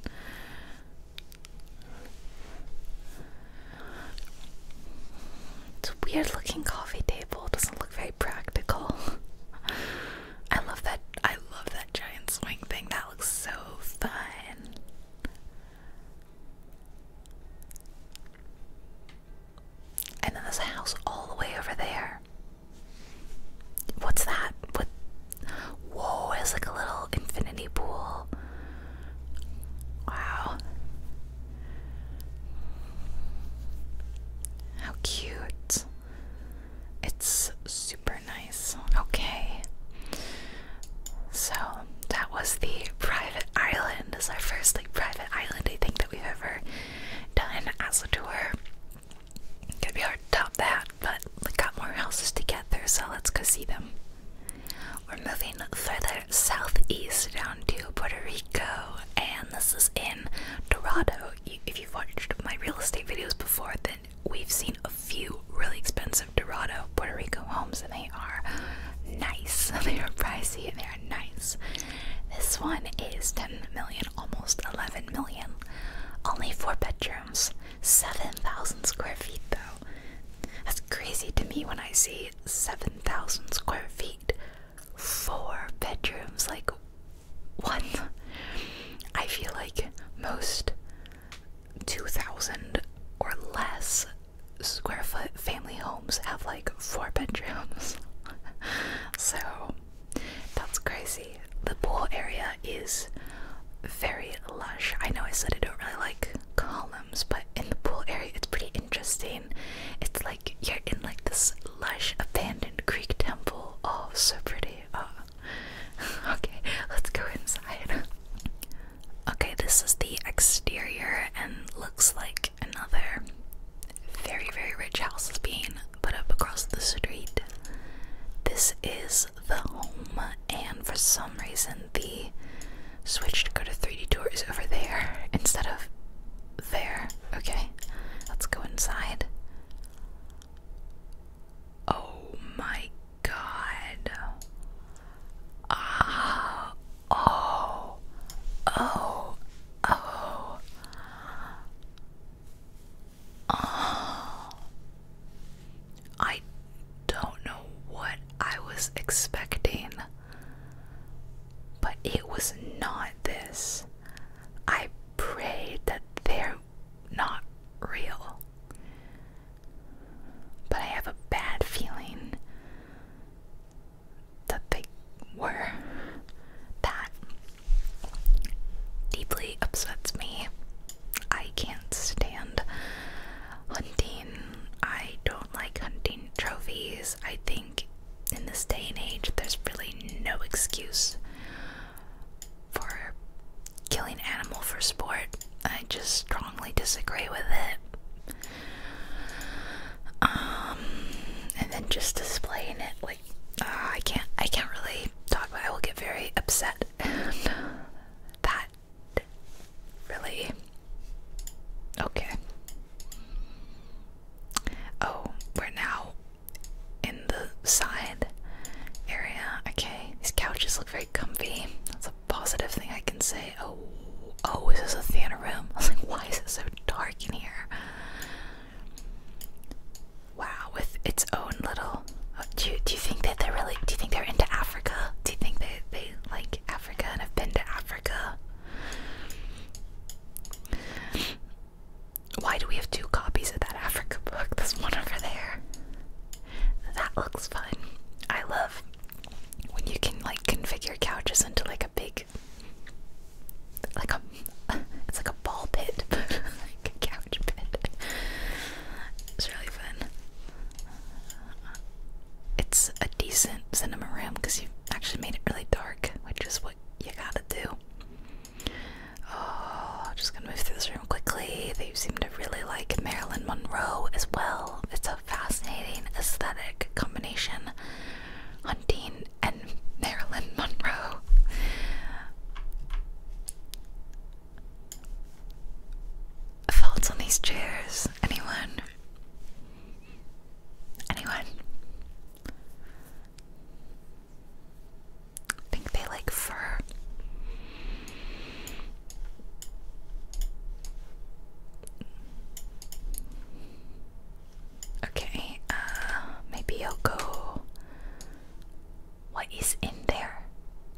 It's a weird looking coffee table. It doesn't look very practical. I love that I love that giant swing thing. That looks so fun. And then this house all the way over there. What's that? What? Whoa, it's like a little infinity pool. Wow. How cute. It's super nice. Okay. So that was the private island. It's our first like private island I think that we've ever done as a tour going be hard to top that, but we got more houses to get through, so let's go see them. We're moving further southeast down to Puerto Rico, and this is in Dorado. If you've watched my real estate videos before, then we've seen a few really expensive Dorado, Puerto Rico homes, and they are nice. They are pricey they are nice. This one is 10 million, almost 11 million. Only four bedrooms. 7,000 square feet though. That's crazy to me when I see 7,000 square feet. Four bedrooms, like one. I feel like most 2,000 or less square foot family homes have like four bedrooms. so that's crazy the pool area is very lush. I know I said I don't really like columns, but in the pool area it's pretty interesting. It's like you're in like this lush abandoned Greek temple. Oh, so pretty. Oh. okay, let's go inside. Okay, this is the exterior and looks like another very, very rich house is being put up across the street. This is the home, and for some reason, the switch to go to 3D tour is over there instead of there. Okay, let's go inside. Oh my god. Ah, oh, oh, oh. Oh. I don't know what I was expecting, but it was not this. I prayed that they're not real. But I have a bad feeling that they were. That deeply upsets me. I can't stand hunting. I don't like hunting trophies. I think in this day and age, there's really no excuse for killing animal for sport. I just strongly disagree with it. Um, and then just displaying it like uh, I can't. I can't really talk about. It. I will get very upset that and really okay oh we're now in the side area okay these couches look very comfy that's a positive thing I can say oh oh is this a theater room I was like why is it so dark in here Wow, with its own little. Uh, do you, do you think that they're really? Do you think they're into Africa? Do you think they they like Africa and have been to Africa? Why do we have two copies of that Africa book? This one over there. That looks fun. I love when you can like configure couches into like a big, like a, it's like a ball pit, like a couch pit. It's really fun. It's a decent cinema room because you actually made it really dark, which is what you gotta do. Oh, I'm just gonna move through this room quickly. They seem to really like Marilyn Monroe as well. It's a fascinating aesthetic combination. Hunting and Marilyn Monroe. Thoughts on these chairs? Anyone? Anyone? I think they like fur. Okay, uh, maybe I'll go what is in there?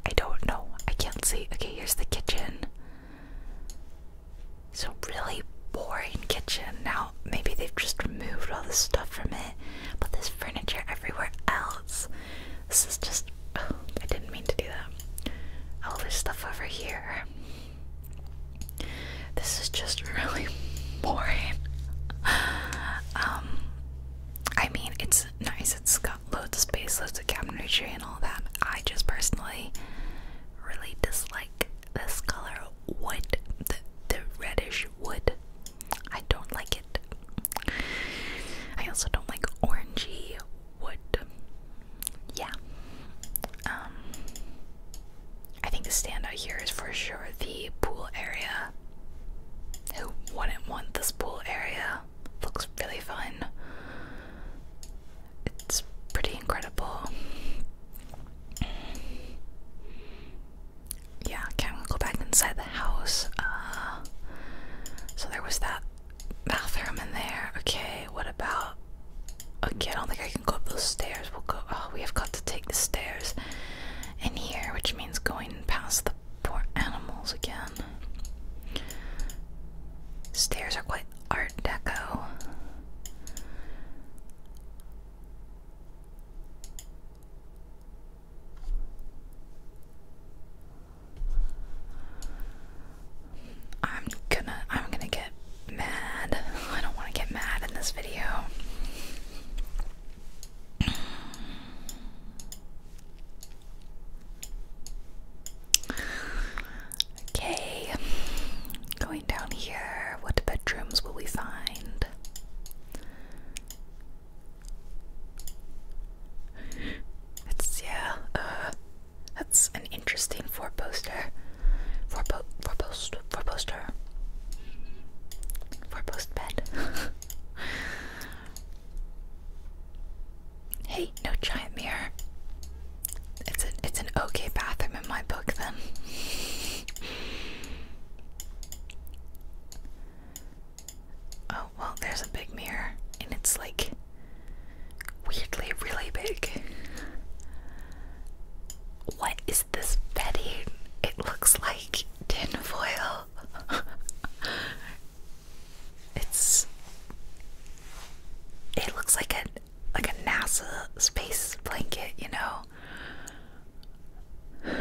I don't know. I can't see. Okay, here's the kitchen. So really boring kitchen. Now maybe they've just removed all the stuff from it, but there's furniture everywhere else. This is just I didn't mean to do that. All this stuff over here. This is just really boring. Um I mean, it's nice. It's got loads of space, loads of cabinetry and all that. I just personally really dislike this color wood, the, the reddish wood. I don't like it. I also don't like orangey wood. Yeah. Um, I think the standout here is for sure the pool area. Who wouldn't want this pool area? looks really fun. It's pretty incredible. Yeah, okay, i go back inside the house. Uh, so there was that bathroom in there. Okay, what about. Okay, I don't think I can go up those stairs. We'll go. Oh, we have got to take the stairs in here, which means going past the poor animals again. Stairs are quite art deco. I'm gonna I'm gonna get mad. I don't want to get mad in this video. Okay, going down here, what bedrooms will we find? It's, yeah, uh, that's an interesting four poster. Four, poster. four poster. four poster. bed. Hey, no giant mirror. It's an it's an okay bathroom in my book then. oh well, there's a big mirror, and it's like weirdly really big. What is this bedding? It looks like tinfoil. it's it looks like a like a NASA space blanket, you know.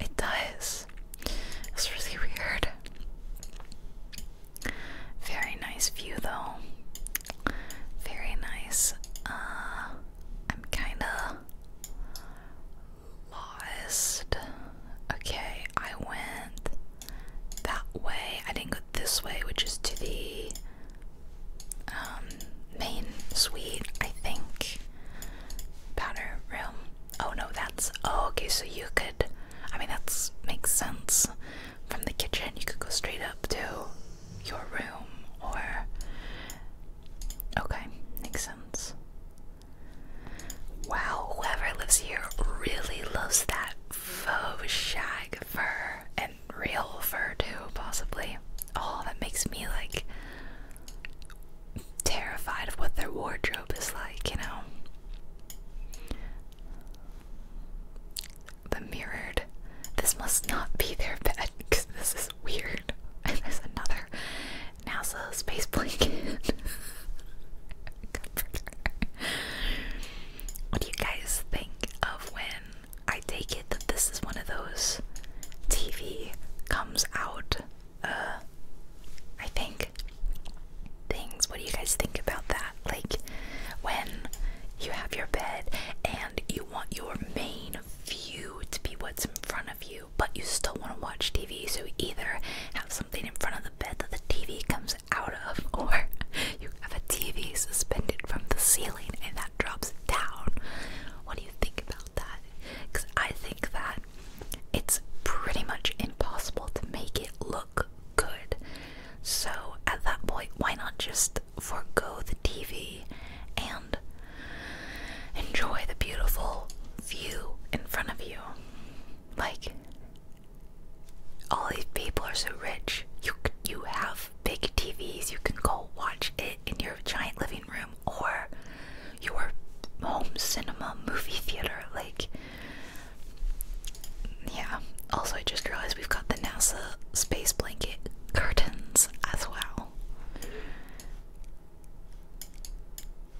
it does. It's really weird. Very nice view though. Very nice. Uh, I'm kinda lost. Okay, I went that way. I didn't go this way, which is to the um, main suite, I think. Powder room. Oh no, that's. Oh, okay, so you could. I mean, that makes sense. From the kitchen, you could go straight up to your room or. Okay, makes sense. Wow, whoever lives here really loves that faux shag fur and real fur too, possibly. Oh, that makes me like terrified of what their wardrobe is like, you know. The mirrored. This must not be their bed because this is weird. And there's another NASA space blanket. what do you guys think of when I take it that this is one of those TV comes out? Uh, I think things. What do you guys think about that? Like when you have your bed and you want your main view to be what's in front of you but you still want to watch TV, so either have something in front of the bed that the TV comes out of, or you have a TV suspended from the ceiling and that drops down. What do you think about that? Because I think that it's pretty much impossible to make it look good. So at that point, why not just forego the TV and Enjoy the beautiful view in front of you. Like, all these people are so rich. You you have big TVs. You can go watch it in your giant living room or your home cinema movie theater. Like, yeah. Also, I just realized we've got the NASA space blanket curtains as well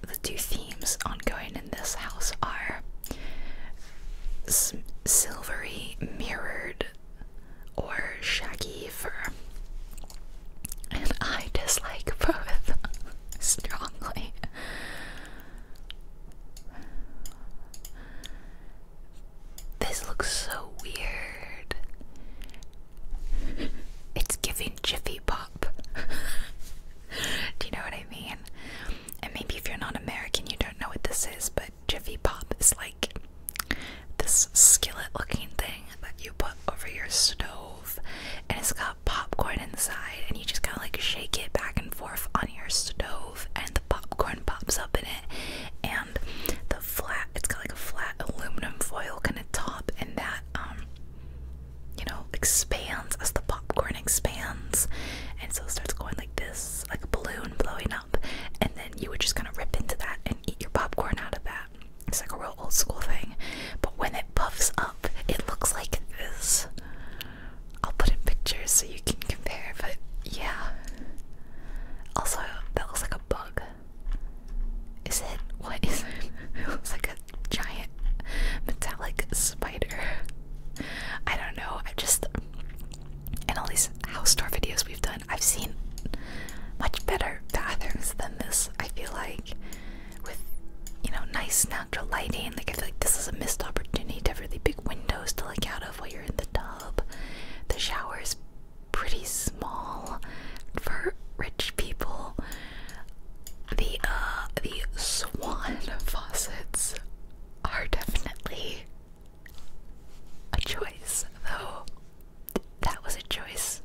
the two themes ongoing in this house are silvery mirrored or shaggy fur. And I dislike both strongly. This looks so weird. It's giving Jiffy Pop. Do you know what I mean? And maybe if you're not American, you don't know what this is, but Jiffy Pop is like this skillet looking thing that you put over your stove and it's got popcorn inside and you just kind of like shake it back and forth on your stove and the popcorn pops up in it and the flat it's got like a flat aluminum foil kind of top and that um you know, expands as the popcorn expands. And so it starts going like this, like a balloon blowing up. And then you would just kind of rip into that and eat your popcorn out of that. It's like a real old school thing. But when it puffs up, it looks like this. I'll put in pictures so you can compare, but yeah. Also, that looks like a bug. Is it? What is it? It looks like a giant metallic spider. I don't know. I just in all these house tour videos we've done, I've seen much better bathrooms than this. I feel like with you know nice natural lighting. Like I feel like this is a missed opportunity to have really big windows to look out of while you're in the tub. The shower is pretty small for rich people. The uh, the swan faucets are definitely a choice, though that was a choice.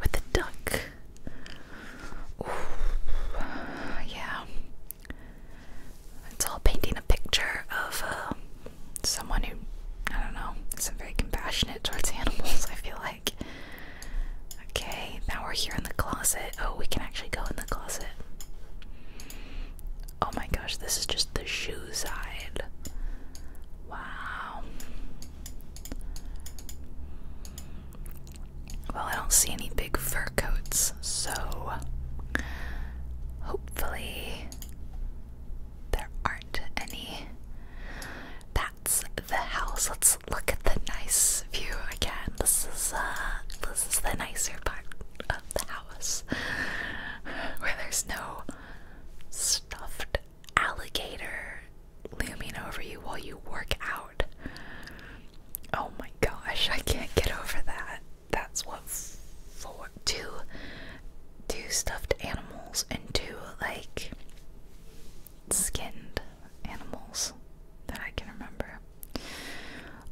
With the duck. yeah. It's all painting a picture of uh, someone who, I don't know, is very compassionate towards animals, I feel like okay, now we're here in the closet. Oh, we can actually go in the closet. Oh my gosh, this is just the shoe side. Wow. Well, I don't see any big fur coats, so hopefully there aren't any. That's the house. let look at the nice view again. This is uh this is the nicer part of the house where there's no stuffed alligator looming over you while you work out. Oh my gosh, I can't get over that. That's what for two do stuffed animals and do like skinned animals that I can remember.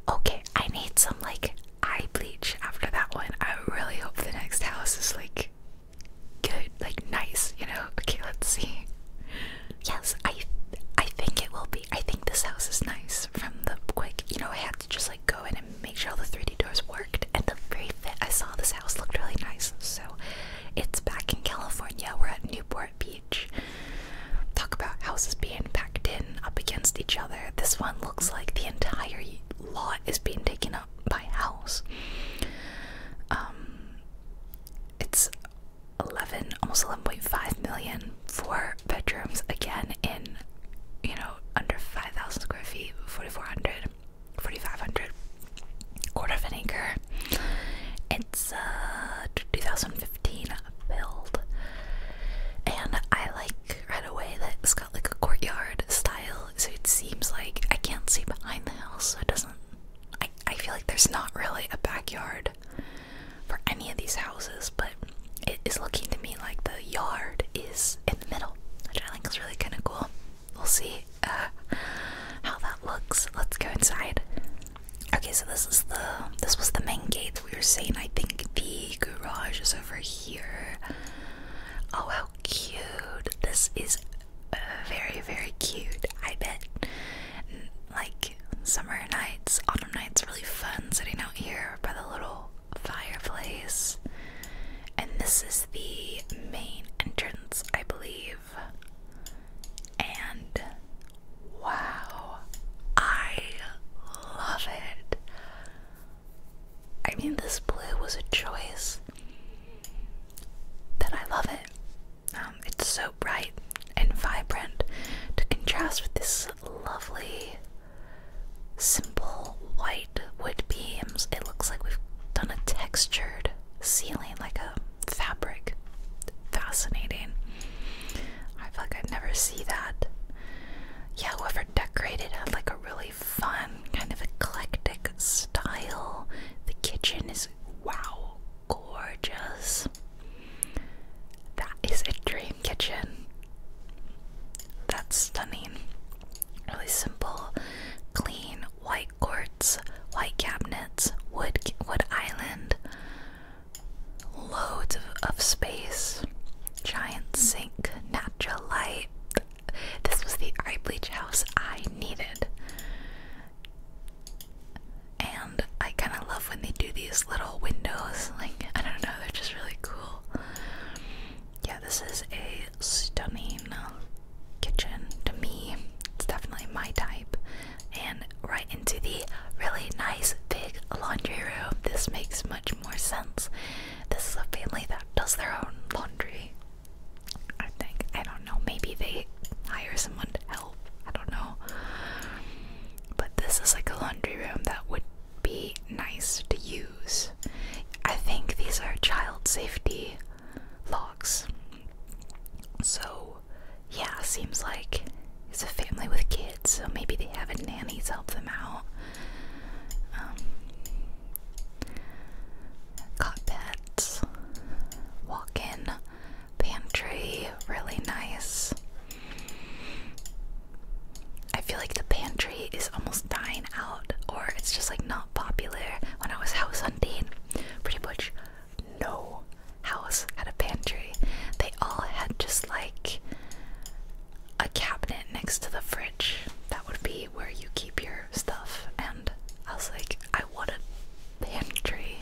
Okay, I need some like eye bleach after that one. I really hope the next house is like good, like nice, you know? Okay, let's see. Yes, I I think it will be. I think this house is nice from the quick, you know, I had to just like go in and make sure all the 3D doors worked and the very fit I saw this house looked really nice. So it's back in California. We're at Newport Beach. Talk about houses being packed in up against each other. This one looks like the entire lot is being taken up by houses. Um, it's 11, almost 11.5 million for bedrooms again in you know under 5,000 square feet, 4,400. 4500 quarter of an acre. It's a uh, 2015 build, and I like right away that it's got like a courtyard style, so it seems like I can't see behind the house, so it doesn't. I, I feel like there's not really a backyard for any of these houses, but it is looking to me like the yard is in the middle, which I think is really kind of cool. We'll see uh, how that looks. Let's go inside. Okay, so this is the this was the main gate that we were seeing. I think the garage is over here. Oh, how cute! This is uh, very very cute. I bet like summer nights, autumn nights, really fun sitting out here by the little fireplace. And this is the main entrance, I believe and wow, I love it. I mean, this blue was a choice, that I love it. Um, it's so bright and vibrant to contrast with this lovely, simple white wood beams. It looks like we've done a textured ceiling, like a fabric. Fascinating. I feel like I'd never see that. Yeah, whoever decorated had like a really fun, kind of eclectic style. The kitchen is wow, gorgeous. That is a dream kitchen. That's stunning. Really simple, clean, white courts, white cabinets, wood wood island, loads of, of space, giant sink, natural light. This was the eye bleach house I needed. And I kind of love when they do these little windows. Like, I don't know, they're just really cool. Yeah, this is a stunning kitchen to me. It's definitely my type. And right into the really nice big laundry room. This makes much more sense. This is a family that does their own laundry. I think. I don't know. Maybe they hire someone to help. I don't know. But this is like a laundry room that would be nice to use. I think these are child safety locks. So yeah, seems like it's a family with kids, so maybe they have a nanny's help them out. Um, walk in, pantry, really nice. I feel like the pantry is almost dying out, or it's just like not popular. When I was house hunting, pretty much no house had a pantry. They all had just like a cabinet next to the fridge. That would be where you keep your stuff. And I was like, I want a pantry.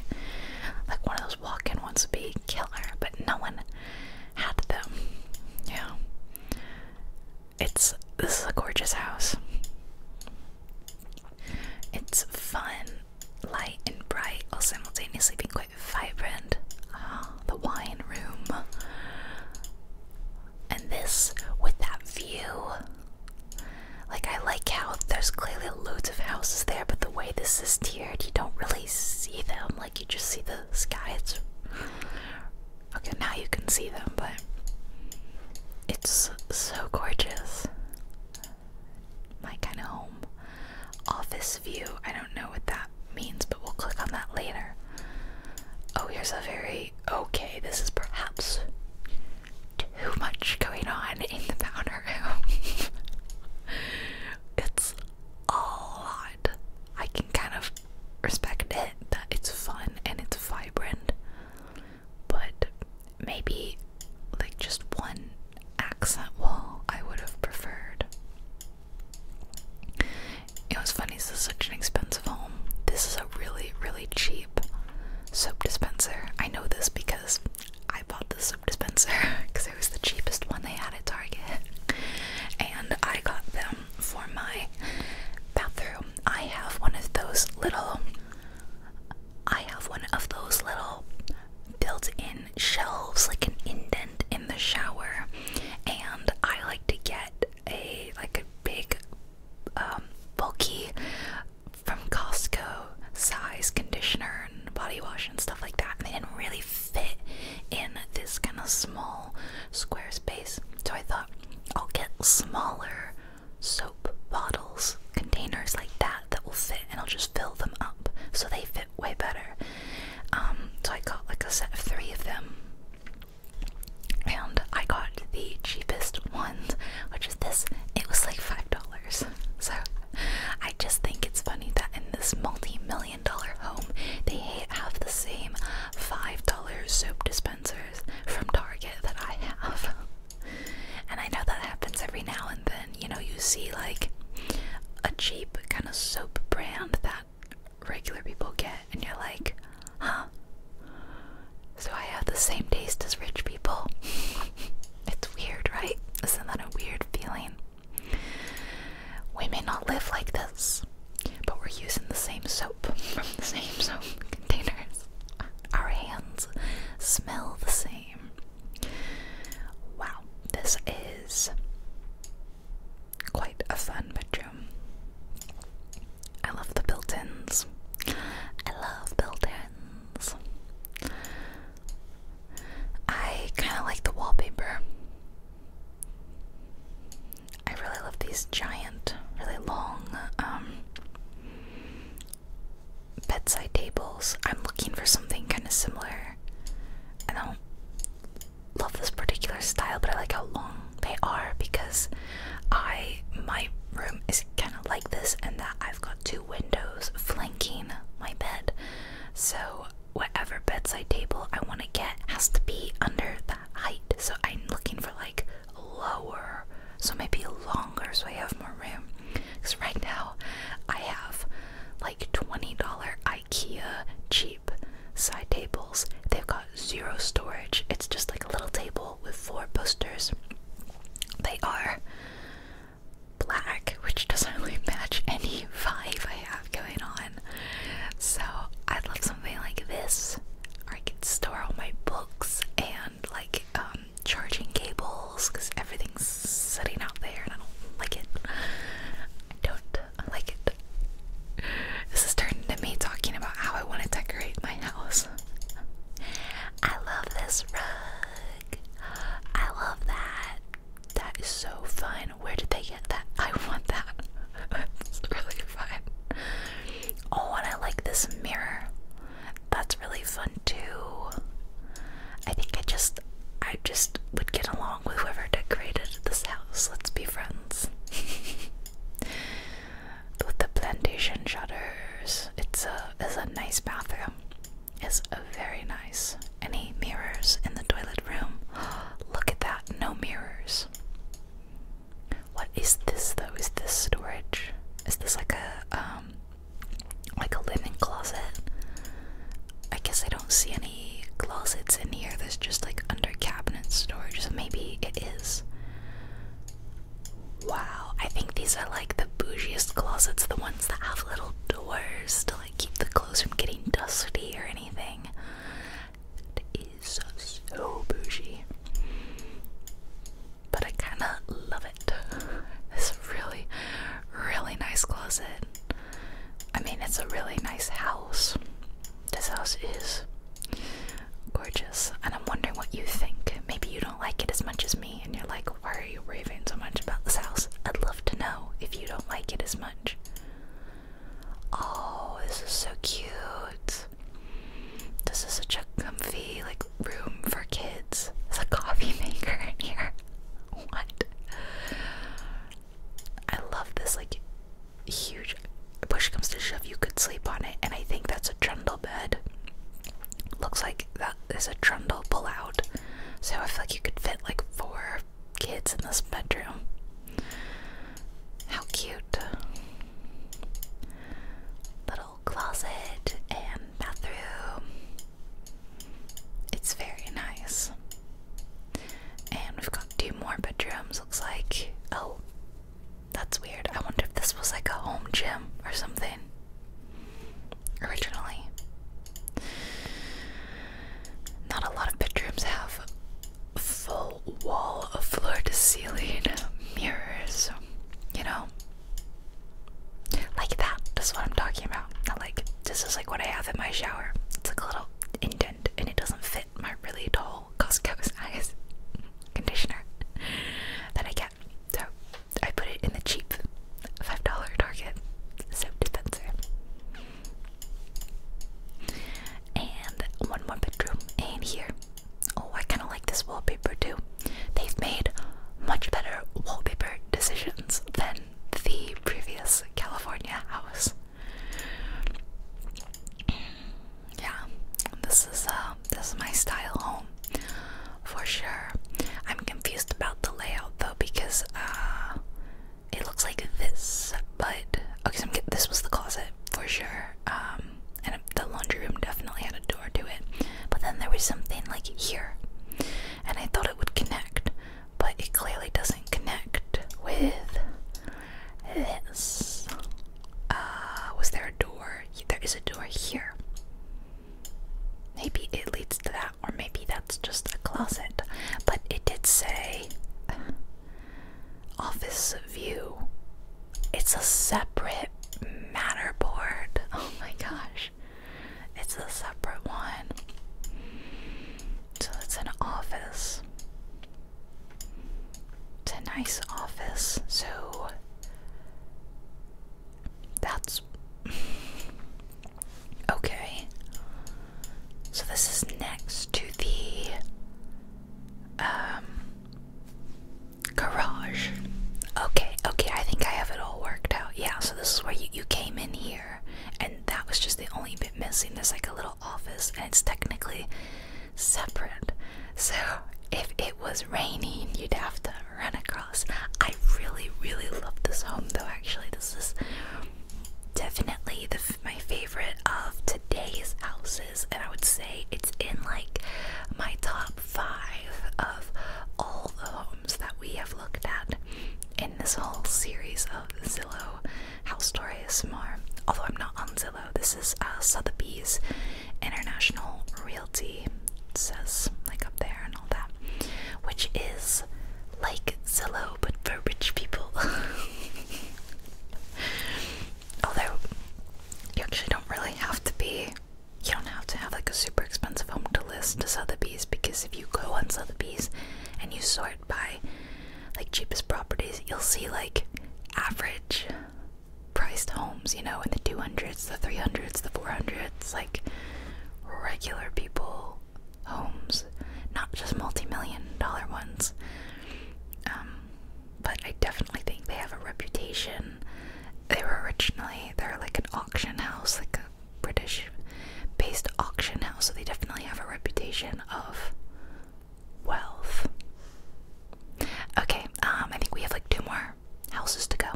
Like one of those walk in ones would be killer, but no one had them. Yeah. It's this is a gorgeous house. It's fun light and bright while simultaneously being quite vibrant. Ah, the wine room. And this with that view. Like, I like how there's clearly loads of houses there, but the way this is tiered, you don't really see them. Like, you just see the sky. It's okay, now you can see them, but it's so gorgeous my kind of home office view. I don't know what that means, but we'll click on that later. Oh, here's a very okay, this is perhaps too much going on in the powder room. it's a lot. I can kind of respect it that it's fun and it's vibrant but maybe like just one accent wall I would have preferred. It was funny, this is such an expensive home. This is a really, really cheap soap dispenser. I know this because I bought the soap dispenser because it was the cheapest one they had at Target. And I got them for my bathroom. I have one of those little I have one of those little built in shelves, like an indent in the shower, and I like to get a like a big um, bulky from Costco size conditioner and body wash and stuff like that. And they didn't really fit in this kind of small square space. So I thought I'll get smaller soap bottles, containers like that that will fit, and I'll just fill them up so they fit way better. Um, so I got like a set of three of them, and I got the cheapest ones, which is this. It was like five dollars. So I just think it's funny that in this multi-million dollar home, they have the same five dollar soap dispensers from Target that I have. And I know that happens every now and then. You know, you see like a cheap kind of soap brand that regular people get, and you're like, huh? So I have the same taste as rich people. it's weird, right? Isn't that a weird feeling? We may not live like this, but we're using the same soap from the same soap containers. Our hands smell the same. Wow, this is quite a fun bedroom. I love the built ins. I love built ins. I kind of like the wallpaper. I really love these giant, really long um, bedside tables. I'm looking for something kind of similar. I don't love this particular style, but I like how long they are because I my room is kind of like this, and that I've got two windows flanking my bed. So whatever bedside table I want to get has to be under that height. So I'm looking for like lower so maybe longer so I have more room. Because right now I have like $20 IKEA cheap side tables. They've got zero storage. It's just like a little table with four posters. They are black, which doesn't really match any vibe I have going on. So I'd love something like this. Or I could store all my books and like um charging cables because everything's sitting out there and I don't like it. I don't like it. This is turning to me talking about how I want to decorate my house. I love this rug. I love that. That is so fun. Where did they get that? I want that. That's really fun. Oh, and I like this mirror. That's really fun too. I think I just I just would get along with whoever decorated this house. Let's be friends. with the plantation shutters. It's a it's a nice bathroom. It's a very nice. Any mirrors in the toilet room? Look at that. No mirrors. What is this though? Is this storage? Is this like a um like a linen closet. I guess I don't see any closets in here. There's just like under cabinet storage, so maybe it is. Wow, I think these are like the bougiest closets, the ones that have little doors to like keep the clothes from getting dusty or anything. It is so bougie. But I kinda love it love it. This really, really nice closet. I mean, it's a really nice house. This house is gorgeous, and I'm wondering what you think. Maybe you don't like it as much as me, and you're like, why are you raving so much about this house? I'd love to know if you don't like it as much. Oh, this is so cute. This is such a comfy, like room for kids. There's a coffee maker in here. What? I love this like huge push comes to shove you could sleep on it and I think that's a trundle bed. Looks like that is a trundle pull out. So I feel like you could fit like four kids in this bedroom. How cute. Little closet and bathroom. It's very nice. And we've got two more bedrooms, looks like. Oh, that's weird. I wonder if this was like a home gym or something originally. Not a lot of bedrooms have full wall of floor to ceiling mirrors, you know? Like that. This is what I'm talking about. Not like this is like what I have in my shower. It's like a little indent and it doesn't fit my really tall Costco size conditioner that I get. So I put it in the cheap five dollar Target soap dispenser. And one more bedroom and here. Oh, I kind of like this wallpaper too. They've made much better wallpaper decisions than the previous California house. yeah, this is uh, this is my style home for sure. I'm confused about the layout though because uh, it looks like this, but okay, so this was the closet for sure. Um, and the laundry room definitely had a door to it, but then there was something like here and I thought it would connect, but it clearly doesn't connect with this. Uh, was there a door? There is a door here. Maybe it leads to that, or maybe that's just a closet. But it did say uh, office view. It's a separate matterboard. Oh my gosh. It's a separate one. So it's an office. It's a nice office. So that's okay. So this is next to the um garage. Okay, okay, I think I have it all worked out. Yeah, so this is where you, came in here and that was just the only bit missing there's like a little office and it's technically separate so if it was raining you'd have to run across i really really love this home though actually this is definitely my favorite of today's houses and i would say it's in like my top five of all the that we have looked at in this whole series of Zillow House stories, more. Although I'm not on Zillow, this is uh, Sotheby's International Realty. says like up there and all that, which is like Zillow but for rich people. Although you actually don't really have to be, you don't have to have like a super expensive home to list to Sotheby's because if you go on Sotheby's and you sort by like cheapest properties, you'll see like average priced homes, you know, in the 200s, the 300s, the 400s, like regular people homes, not just multi million dollar ones. Um, but I definitely think they have a reputation. They were originally, they're like an auction house, like a British based auction house, so they definitely have a reputation of wealth. Okay, um, I think we have like two more houses to go.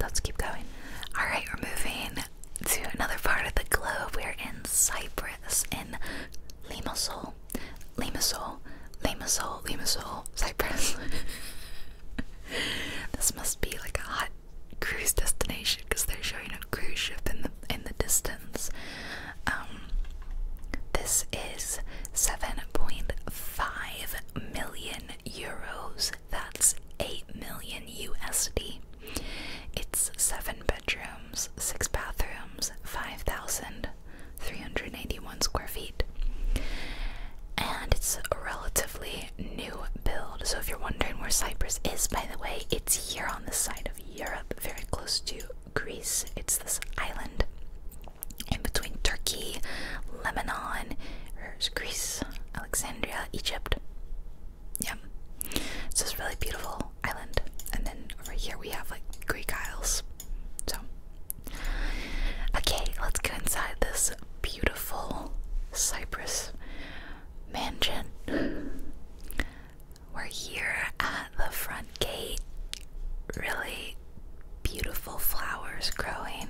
Let's keep going. Alright, we're moving to another part of the globe. We're in Cyprus, in Limassol, Limassol, Limassol, Limassol, Cyprus. this must be like a hot cruise destination because they're showing a cruise ship in the in the distance. Um, this is seven point five million euros. That's eight million USD. It's seven bedrooms, six bathrooms, five thousand three hundred eighty-one square feet, and it's relatively new build. So if you're wondering where Cyprus is, by the way, it's here on the side of Europe, very close to Greece. It's this island in between Turkey, Lebanon, or er, Greece, Alexandria, Egypt. Yeah. It's this really beautiful island. And then over here we have like Greek Isles. So Okay, let's go inside this beautiful Cyprus mansion. We're here at the front gate. Really beautiful flowers growing.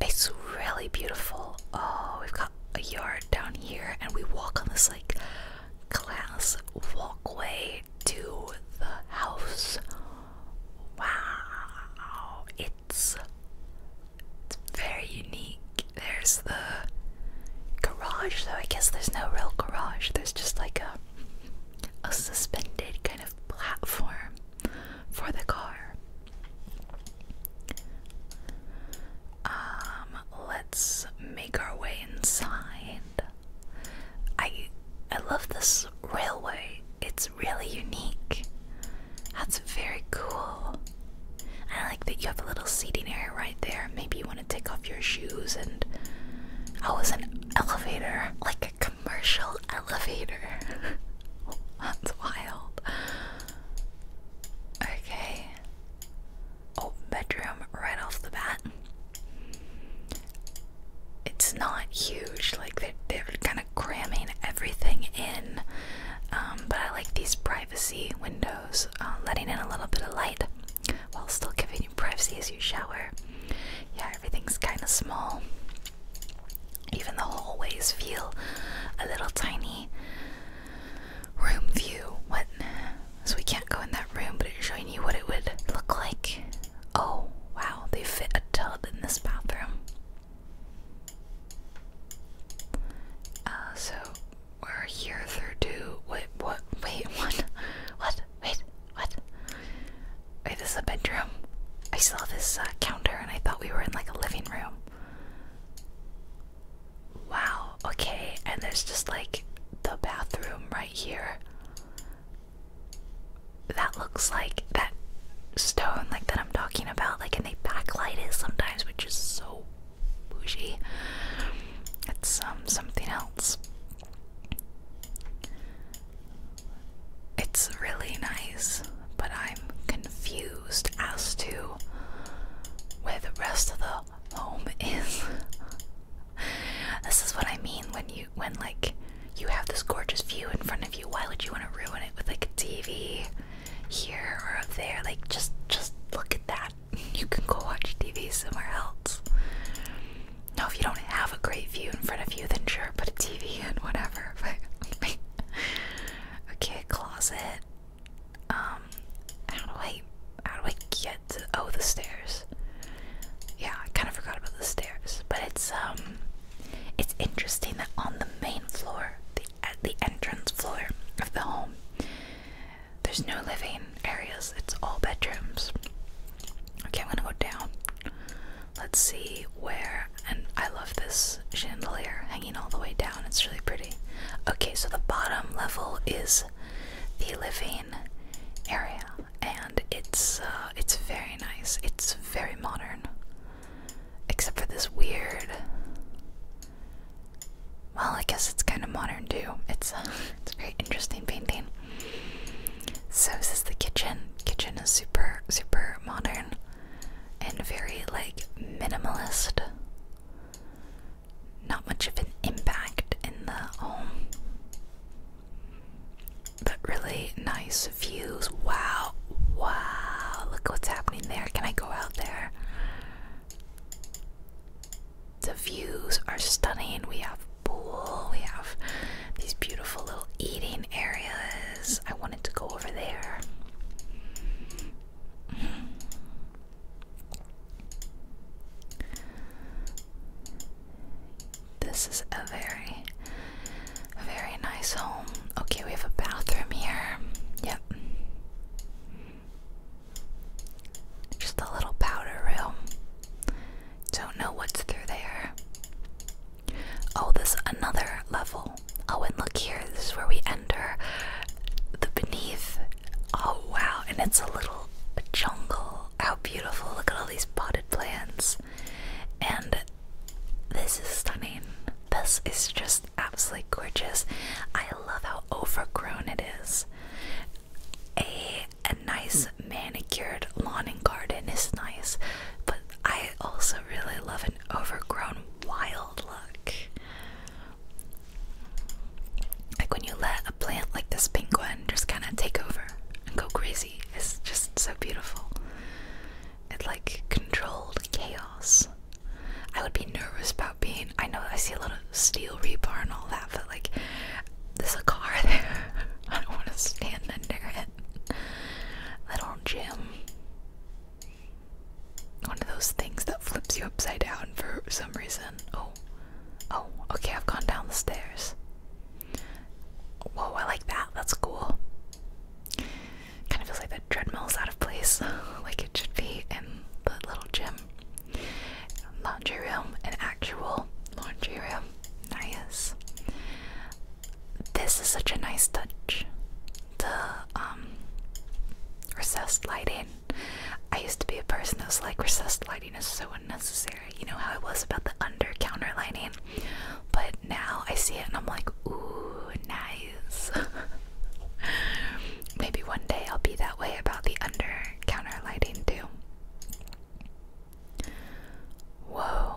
It's really beautiful. Oh, we've got a yard down here, and we walk on this like glass walkway to the house. Wow, it it's very unique. There's the garage, though I guess there's no real garage. There's just like a a suspended kind of platform for the car. Um, let's make our way inside. I I love this railway. It's really unique. That's very cool. I like that you have a little seating area right there. Maybe you want to take off your shoes and oh, it's an elevator, like a commercial elevator. oh, that's wild. Okay. Oh, bedroom right off the bat. It's not huge, like they're, kind of cramming everything in. Um, but I like these bright privacy windows, uh, letting in a little bit of light while still giving you privacy as you shower. Yeah, everything's kind of small. Even the hallways feel a little tiny. Room view. What? So we can't go in that room, but it's showing you what it would look like. Oh, wow, they fit a tub in this bathroom. Uh, so we're here through two. Wait, what? Wait, what? What? Wait, what? Wait, this is a bedroom. I saw this uh, counter and I thought we were in like a living room. Wow, okay, and there's just like the bathroom right here. That looks like that stone like that I'm talking about, like and they backlight it sometimes, which is so so It's um something else. It's really nice, but I'm confused as to where the rest of the home is. this is what I mean when you when like you have this gorgeous view in front of you. Why would you want to ruin it with like a TV here or up there. Like just just look at that. You can go watch TV somewhere else. Now if you don't have a great view in front of you, then sure, put a TV in, whatever. But okay, closet. Um, how do I how do I get to oh the stairs? Yeah, I kinda forgot about the stairs. But it's um it's interesting that on the main floor, the at the entrance floor of the home. There's no living areas, it's all bedrooms. Okay, I'm gonna go down. Let's see where, and I love this chandelier hanging all the way down, it's really pretty. Okay, so the bottom level is the living area, and it's uh, it's very nice. It's very modern, except for this weird well, I guess it's kind of modern too. It's uh, a, it's a very interesting painting. So this is the kitchen. Kitchen is super super modern and very like minimalist. Not much of an impact in the home. But really nice views. Wow. Wow. Look what's happening there. Can I go out there? The views are stunning. We have pool, we have these beautiful little eating areas. I wanted to go over there. This is a very, very nice home. Okay, we have a bathroom here. Yep. Just a little powder room. Don't know what's through there. Oh, there's another level. Oh, and look here. This is where we enter the beneath. Oh, wow. And it's a little jungle. How beautiful. Look at all these potted plants. And this is stunning. This is just absolutely gorgeous. I love how overgrown it is. A a nice hmm. manicured lawn and garden is nice, but I also really love an overgrown wild look. Like when you let a plant like this penguin just kind of take over and go crazy. It's just so beautiful. It's like controlled chaos. I would be nervous about being. I know I see a little steel rebar and all that, but like, there's a car there. I don't want to stand under it. Little gym. One of those things that flips you upside down for some reason. Oh, oh, okay, I've gone down the stairs. Whoa, I like that. That's cool. Kind of feels like the treadmill's out of place, like it should be in the little gym. Laundry room, an actual laundry room. Nice. This is such a nice touch. The um, recessed lighting. I used to be a person that was like recessed lighting is so unnecessary. You know how it was about the under counter lighting. But now I see it and I'm like, ooh, nice. Maybe one day I'll be that way about the under counter lighting too. Whoa.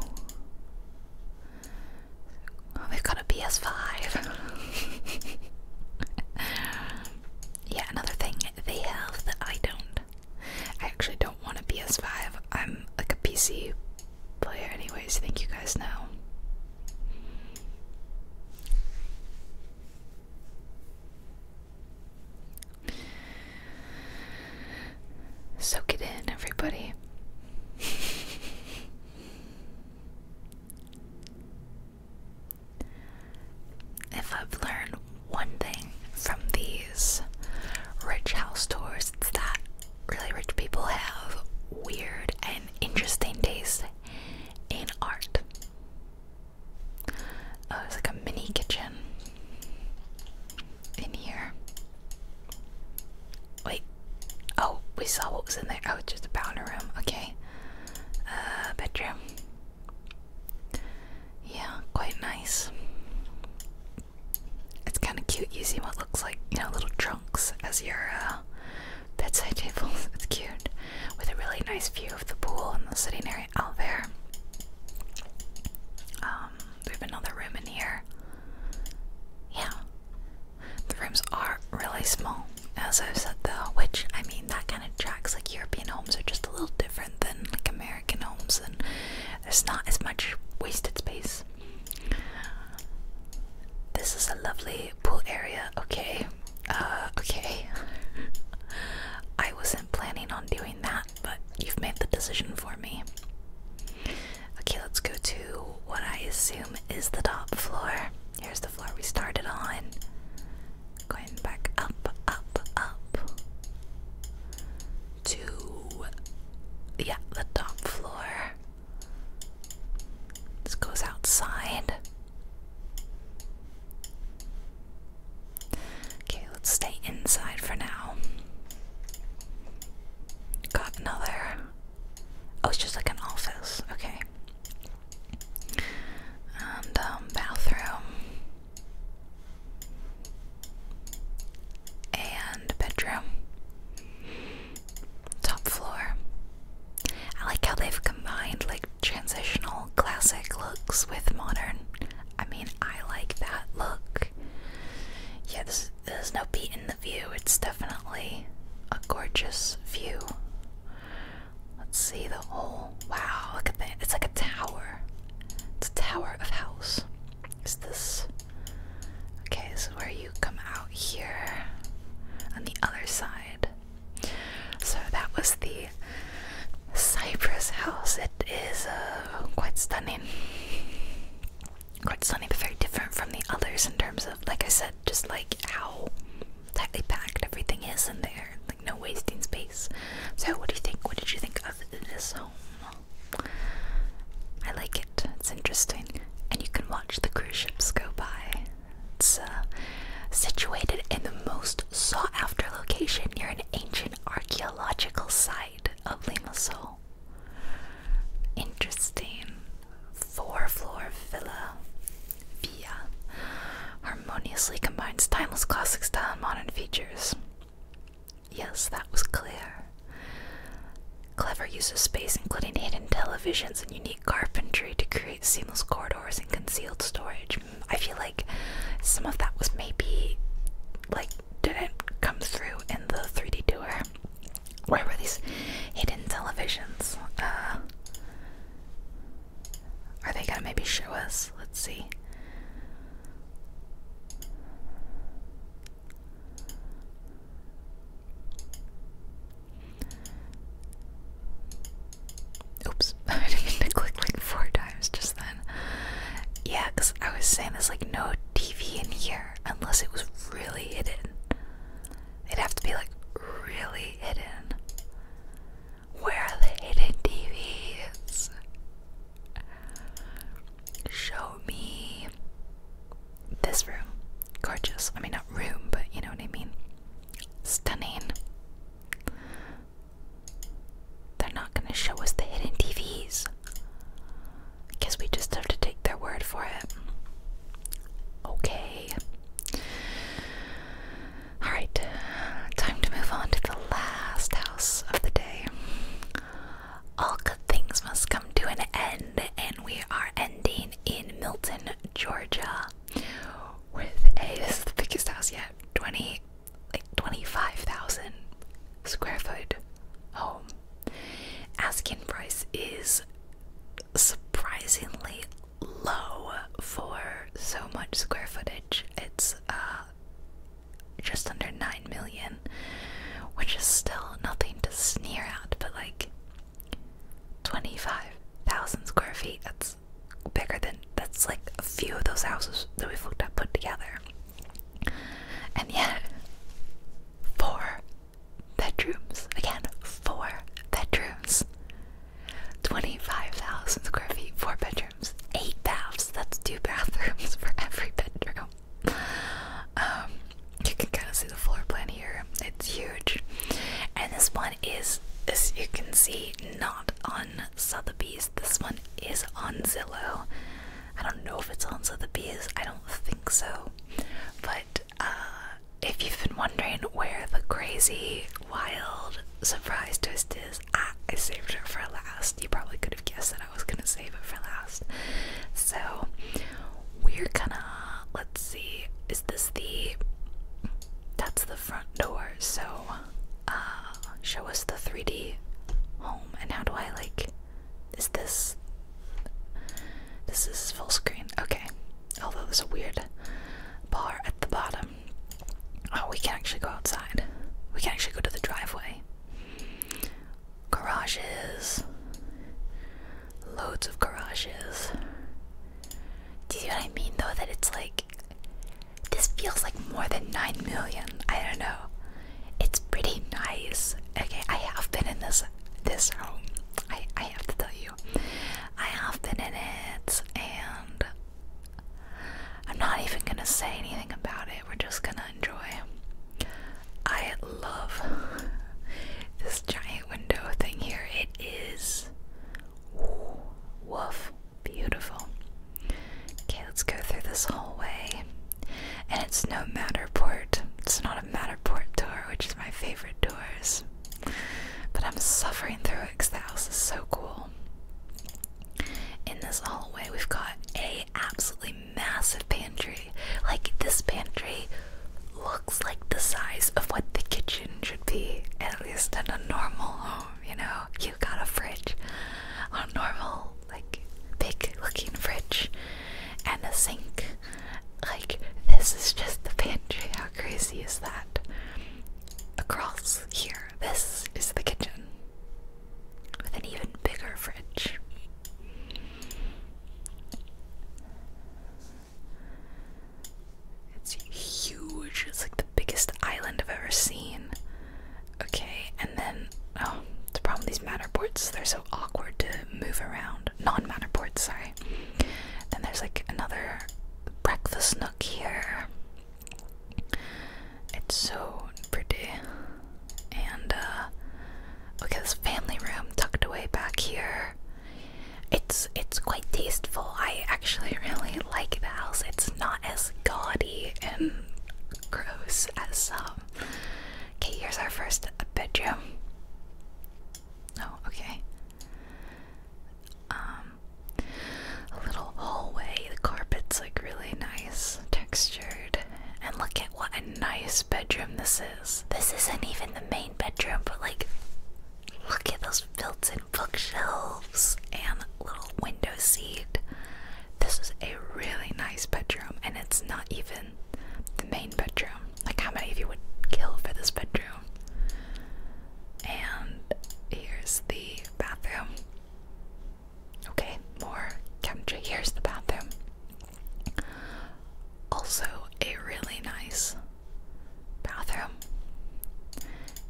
Oh, they've got a PS5. yeah, another thing they have that I don't. I actually don't want a PS5. I'm like a PC player, anyways. Thank you guys know. Soak it in, everybody. if I've learned one thing from these rich house tours, it's that really rich people have weird and interesting tastes in art. Oh, it's like a mini kitchen in here. Wait. Oh, we saw what was in there. Oh, it's just a powder room. Okay. Uh, bedroom. Yeah, quite nice. It's kind of cute using what looks like, you know, little trunks as your uh, bedside table It's cute with a really nice view of the pool and the sitting area out there. Um, we have another room in here. Yeah, the rooms are really small, as I've said though. Which I mean, that kind of tracks. Like European homes are just a little different than like American homes, and there's not as much wasted space. This is a lovely pool area. Okay, uh, okay. I wasn't planning on doing that, but you've made the decision for me. Okay, let's go to what I assume is the top floor. Here's the floor we started on. Going back up, up, up. To. Yeah, the top floor. This goes outside. Okay, let's stay inside for now. Got another. Oh, it's just like an office. Okay. And, um, bathroom. And bedroom. Top floor. I like how they've combined like transitional classic looks with modern. I mean, I like that look. Yeah, there's no beat in the view. It's definitely a gorgeous view. Let's see the whole. Wow, look at that. It's like a tower. It's a tower of house. Is this. Okay, this is where you come out here on the other side. So that was the Cypress House. It is uh, quite stunning. Quite stunning, but very different from the others in terms of, like I said, just like how tightly packed everything is in there. Like no wasting space. So, what do you think? What did you think of this home? I like it. It's interesting. And you can watch the cruise ships go by. It's uh, situated in the most sought after location near an ancient archaeological site of Limassol. Interesting. Four floor villa. Villa harmoniously combines timeless classic style and modern features. Yes, that was clear. Clever use of space, including hidden televisions and unique carpentry to create seamless corridors and concealed storage. I feel like some of that was maybe like didn't come through in the 3D tour. Where were these hidden televisions? Uh, are they gonna maybe show us? Let's see. Oops, I didn't mean to click like four times just then. Yeah, because I was saying there's like no TV in here unless it was really hidden. It'd have to be like really hidden. Where are the hidden TVs? Show me this room. Gorgeous. I mean, not room, but you know what I mean. Stunning. They're not going to show us the hidden TVs. I we just have to take their word for it. Okay. Alright, time to move on to the last house of the day. All good things must come to an end, and we are ending in Milton, Georgia with this is the biggest house yet 20 like 25,000 square foot home asking price is surprisingly low for so much square footage it's uh just under 9 million which is still nothing to sneer at but like 25,000 square feet bigger than that's like a few of those houses that we've looked at put together. And yet, four bedrooms. Again, four bedrooms. 25,000 square feet, four bedrooms, eight baths. That's two bathrooms for every bedroom. Um, you can kind of see the floor plan here. It's huge. And this one is, as you can see, not on Sotheby's. This one is on Zillow. I don't know if it's on Sotheby's. I don't think so. But uh, if you've been wondering where the crazy, wild surprise twist is, I saved it for last. You probably could have guessed that I was gonna save it for last. So we're gonna let's see. Is this the that's the front door. So, uh, show us the 3D home. And how do I like? Is this? This is full screen. Okay. Although there's a weird bar at the bottom. Oh, we can actually go outside. We can actually go to the driveway. Garages. Loads of garages. Do you see what I mean though? That it's like this feels like more than 9 million. I don't know. It's pretty nice. Okay, I have been in this this home. I I have to tell you. I have been in it and I'm not even going to say anything about it. We're just going to enjoy. I love this giant window thing here. It is woof. Beautiful. Okay, let's go through this hallway. And it's no Matterport. It's not a Matterport door, which is my favorite doors. But I'm suffering through it because the house is so cool. In this hallway, we've got a absolutely massive pantry. Like, this pantry looks like the size of what the kitchen should be, at least in a normal home you know, you got a fridge, a normal, like, big looking fridge, and a sink. Like, this is just the pantry. How crazy is that? Across here, this is the kitchen with an even bigger fridge. It's huge. It's like the biggest island I've ever seen. Okay, and then oh, the problem with these matterports, they're so awkward to move around. Non-matterports, matter sorry. Then there's like another breakfast nook here. It's so pretty. And uh look this family room tucked away back here. It's it's quite tasteful. I actually really like the house. It's not as gaudy and gross as some. Um... Okay, here's our first bedroom. Oh, okay. Um, little hallway. The carpet's like really nice, textured. And look at what a nice bedroom this is. This isn't even the main bedroom, but like Look at those built-in bookshelves and little window seat. This is a really nice bedroom, and it's not even the main bedroom. Like, how many of you would kill for this bedroom? And here's the bathroom. Okay, more country. Here's the bathroom. Also, a really nice bathroom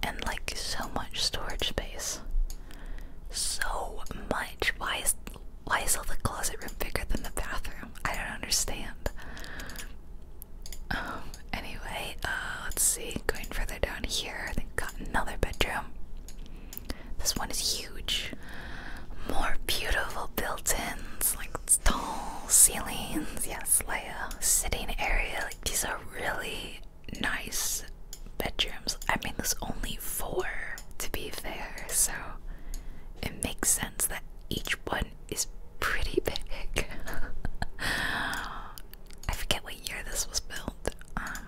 and like so much storage space so much why is why is all the closet room bigger than the bathroom i don't understand um anyway uh let's see going further down here they've got another bedroom this one is huge more beautiful built-ins like tall ceilings yes leia sitting area like these are really nice bedrooms. I mean, there's only four to be fair, so it makes sense that each one is pretty big. I forget what year this was built. Um,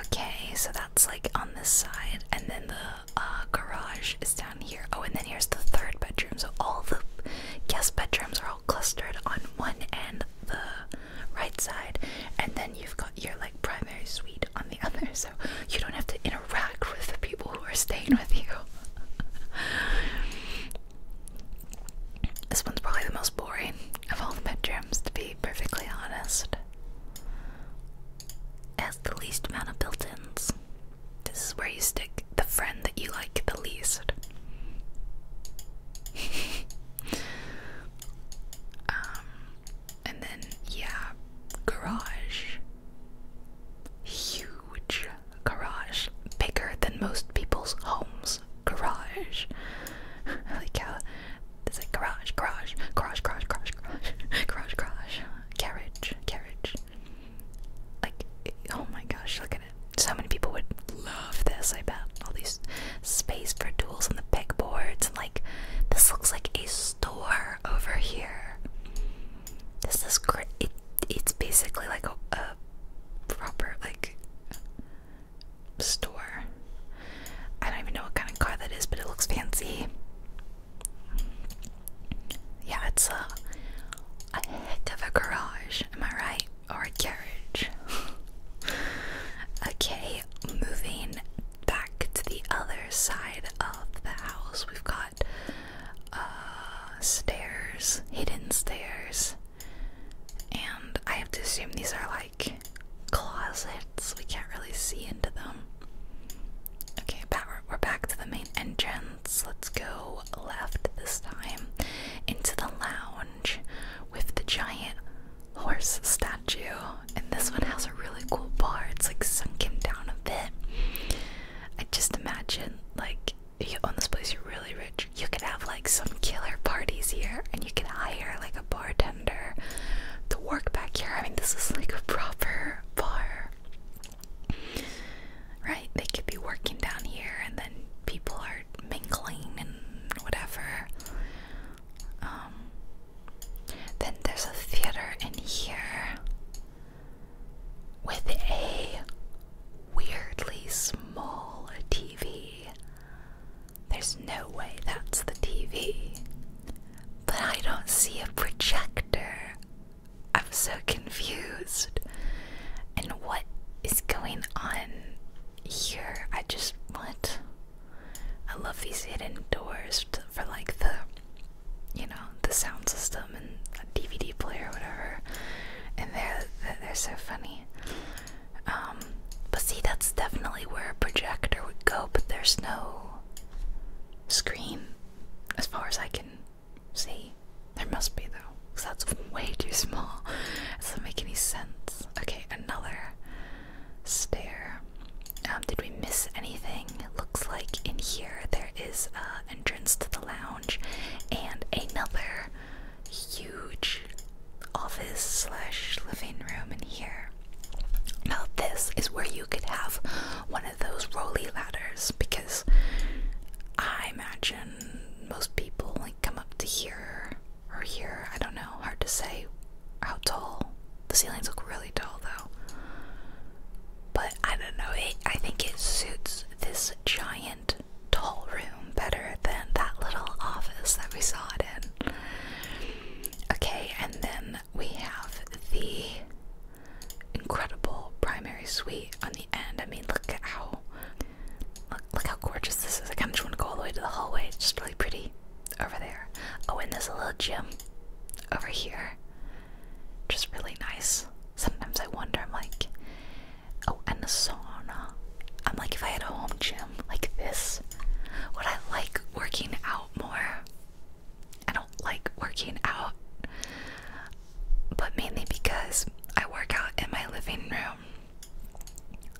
okay, so that's like on this side, and then the uh, garage is down Oh, and then here's the third bedroom. So all the guest bedrooms are all clustered on one end, the right side, and then you've got your like primary suite on the other. So you don't have to interact with the people who are staying with you. this one's probably the most boring of all the bedrooms, to be perfectly honest. It has the least amount of built-ins. This is where you stick the friend that you like the least. um, and then, yeah, garage. Huge garage. Bigger than most people's homes. Garage. I like how uh, there's like garage, garage, garage, garage, garage, garage, garage, garage, garage, garage, garage, garage, carriage, carriage, like, oh my gosh, look at it. So many people would love this, I bet. All these space for tools on the pegboards. And like, this looks like a store over here. This is great. it's basically like a, a proper, like, store. I don't even know what kind of car that is, but it looks fancy. Yeah, it's a uh, a heck of a garage, am I right? Or a garage. okay, moving back to the other side of the house, we've got uh, stairs, hidden stairs, and I have to assume these are like closets. We can't really see into them. Okay, power we're, back to the main entrance. Let's go left this time into the lounge with the giant horse statue. And this one has a really cool bar. It's like sunken down a bit. I just imagine, like, if you own this place, you're really rich. You could have like some killer parties here, and you could hire like a bartender to work back here. I mean, this is like a proper bar right? They could be working down here and then people are mingling and whatever. Um, then there's a theater in here with a weirdly small TV. There's no way that's the TV. But I don't see a projector I'm so confused. And what is going on here? I just what? I love these hidden doors for like the you know, the sound system and DVD player or whatever. And they're they're so funny. Um but see that's definitely where a projector would go, but there's no screen as far as I can See? There must be though, because that's way too small. doesn't make any sense. Okay, another stair. Um, did we miss anything? looks like in here there is an entrance to the lounge and another huge office slash living room in here. Now this is where you could have one of those rolly ladders because I imagine most people like come up to here or here. I don't know, hard to say how tall. The ceilings look really tall though. But I don't know, I think it suits this giant tall room better than that little office that we saw it in. Okay, and then we have the incredible primary suite on the end. I mean, look at how look, look how gorgeous this is. I kind of just want to go all the way to the hallway. It's just really pretty over there. Oh, and there's a little gym over here. Just really nice. Sometimes I wonder, I'm like, oh, and the sauna. I'm like, if I had a home gym like this, would I like working out more? I don't like working out but mainly because I work out in my living room.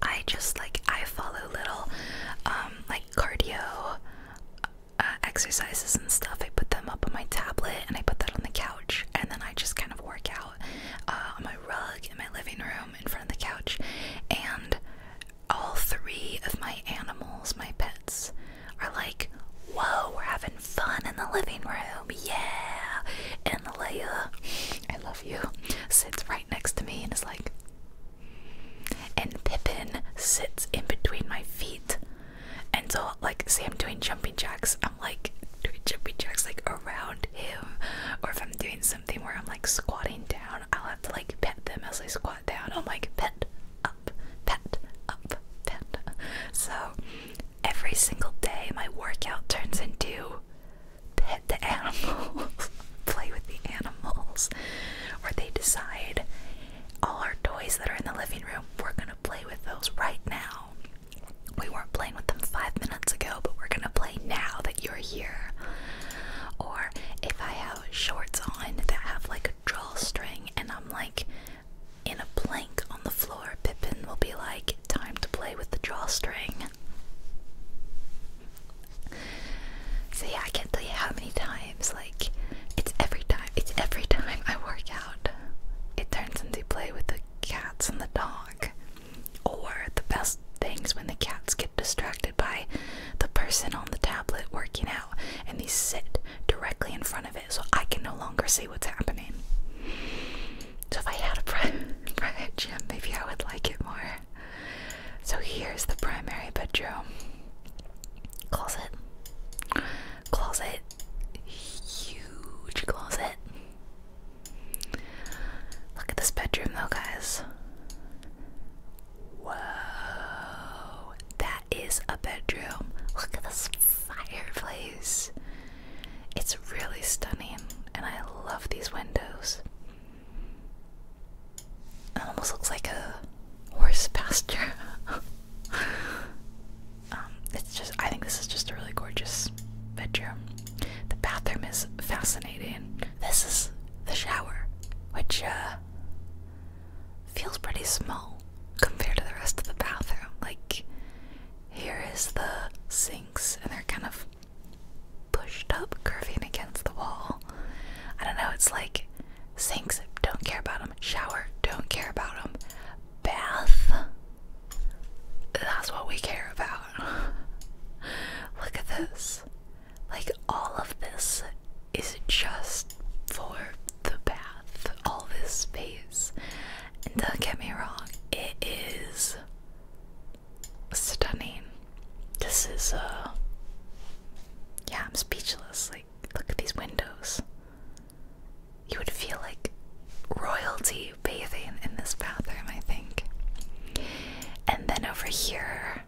I just like I follow little um, like cardio uh, exercises and stuff. I put them up on my tablet and I put that on the couch and then I just kind of work out uh, on my rug in my living room in front of the couch and all three of my animals, my pets are like, "Whoa, we're having fun in the living room. Yeah. And Leia, I love you, sits right next to me and it's like, and Pippin sits in between my feet. And so, like, say I'm doing jumping jacks, I'm like doing jumping jacks like around him. Or if I'm doing something where I'm like squatting down, I'll have to like pet them as I squat down. I'm like, pet up, pet up, pet. So every single day my workout turns into pet the animals, play with the animals, or they decide all our toys that are in the living room, we're gonna play with those right now. We weren't playing with them five minutes ago, but we're gonna play now that you're here. Or if I have shorts on that have like a drawstring and I'm like in a plank on the floor, Pippin will be like, Time to play with the drawstring. So, yeah, I can't tell you how many times, like, it's every time, it's every time I work out. It turns into play with the cats and the dog. Or the best things when the cats get distracted by the person on the tablet working out and they sit directly in front of it so I can no longer see what's happening. So, if I had a private, private gym, maybe I would like it more. So, here's the primary bedroom closet, closet, huge closet. Look at this bedroom, though, guys. Whoa, that is a bedroom. Look at this fireplace. It's really stunning, and I love these windows. It almost looks like a horse pasture. Um, it's just, I think this is just a really gorgeous bedroom. The bathroom is fascinating. This is the shower, which uh, feels pretty small compared to the rest of the bathroom. Like, here is the sinks, and they're kind of pushed up, curving against the wall. I don't know, it's like sinks, don't care about them. Shower, don't care about them. Bath, that's what we care about. Look at this. Like, all of this is just for the bath, all this space. And don't get me wrong, it is stunning. This is, uh, yeah, I'm speechless. Like, look at these windows. You would feel like royalty bathing in this bathroom, I think. And then over here,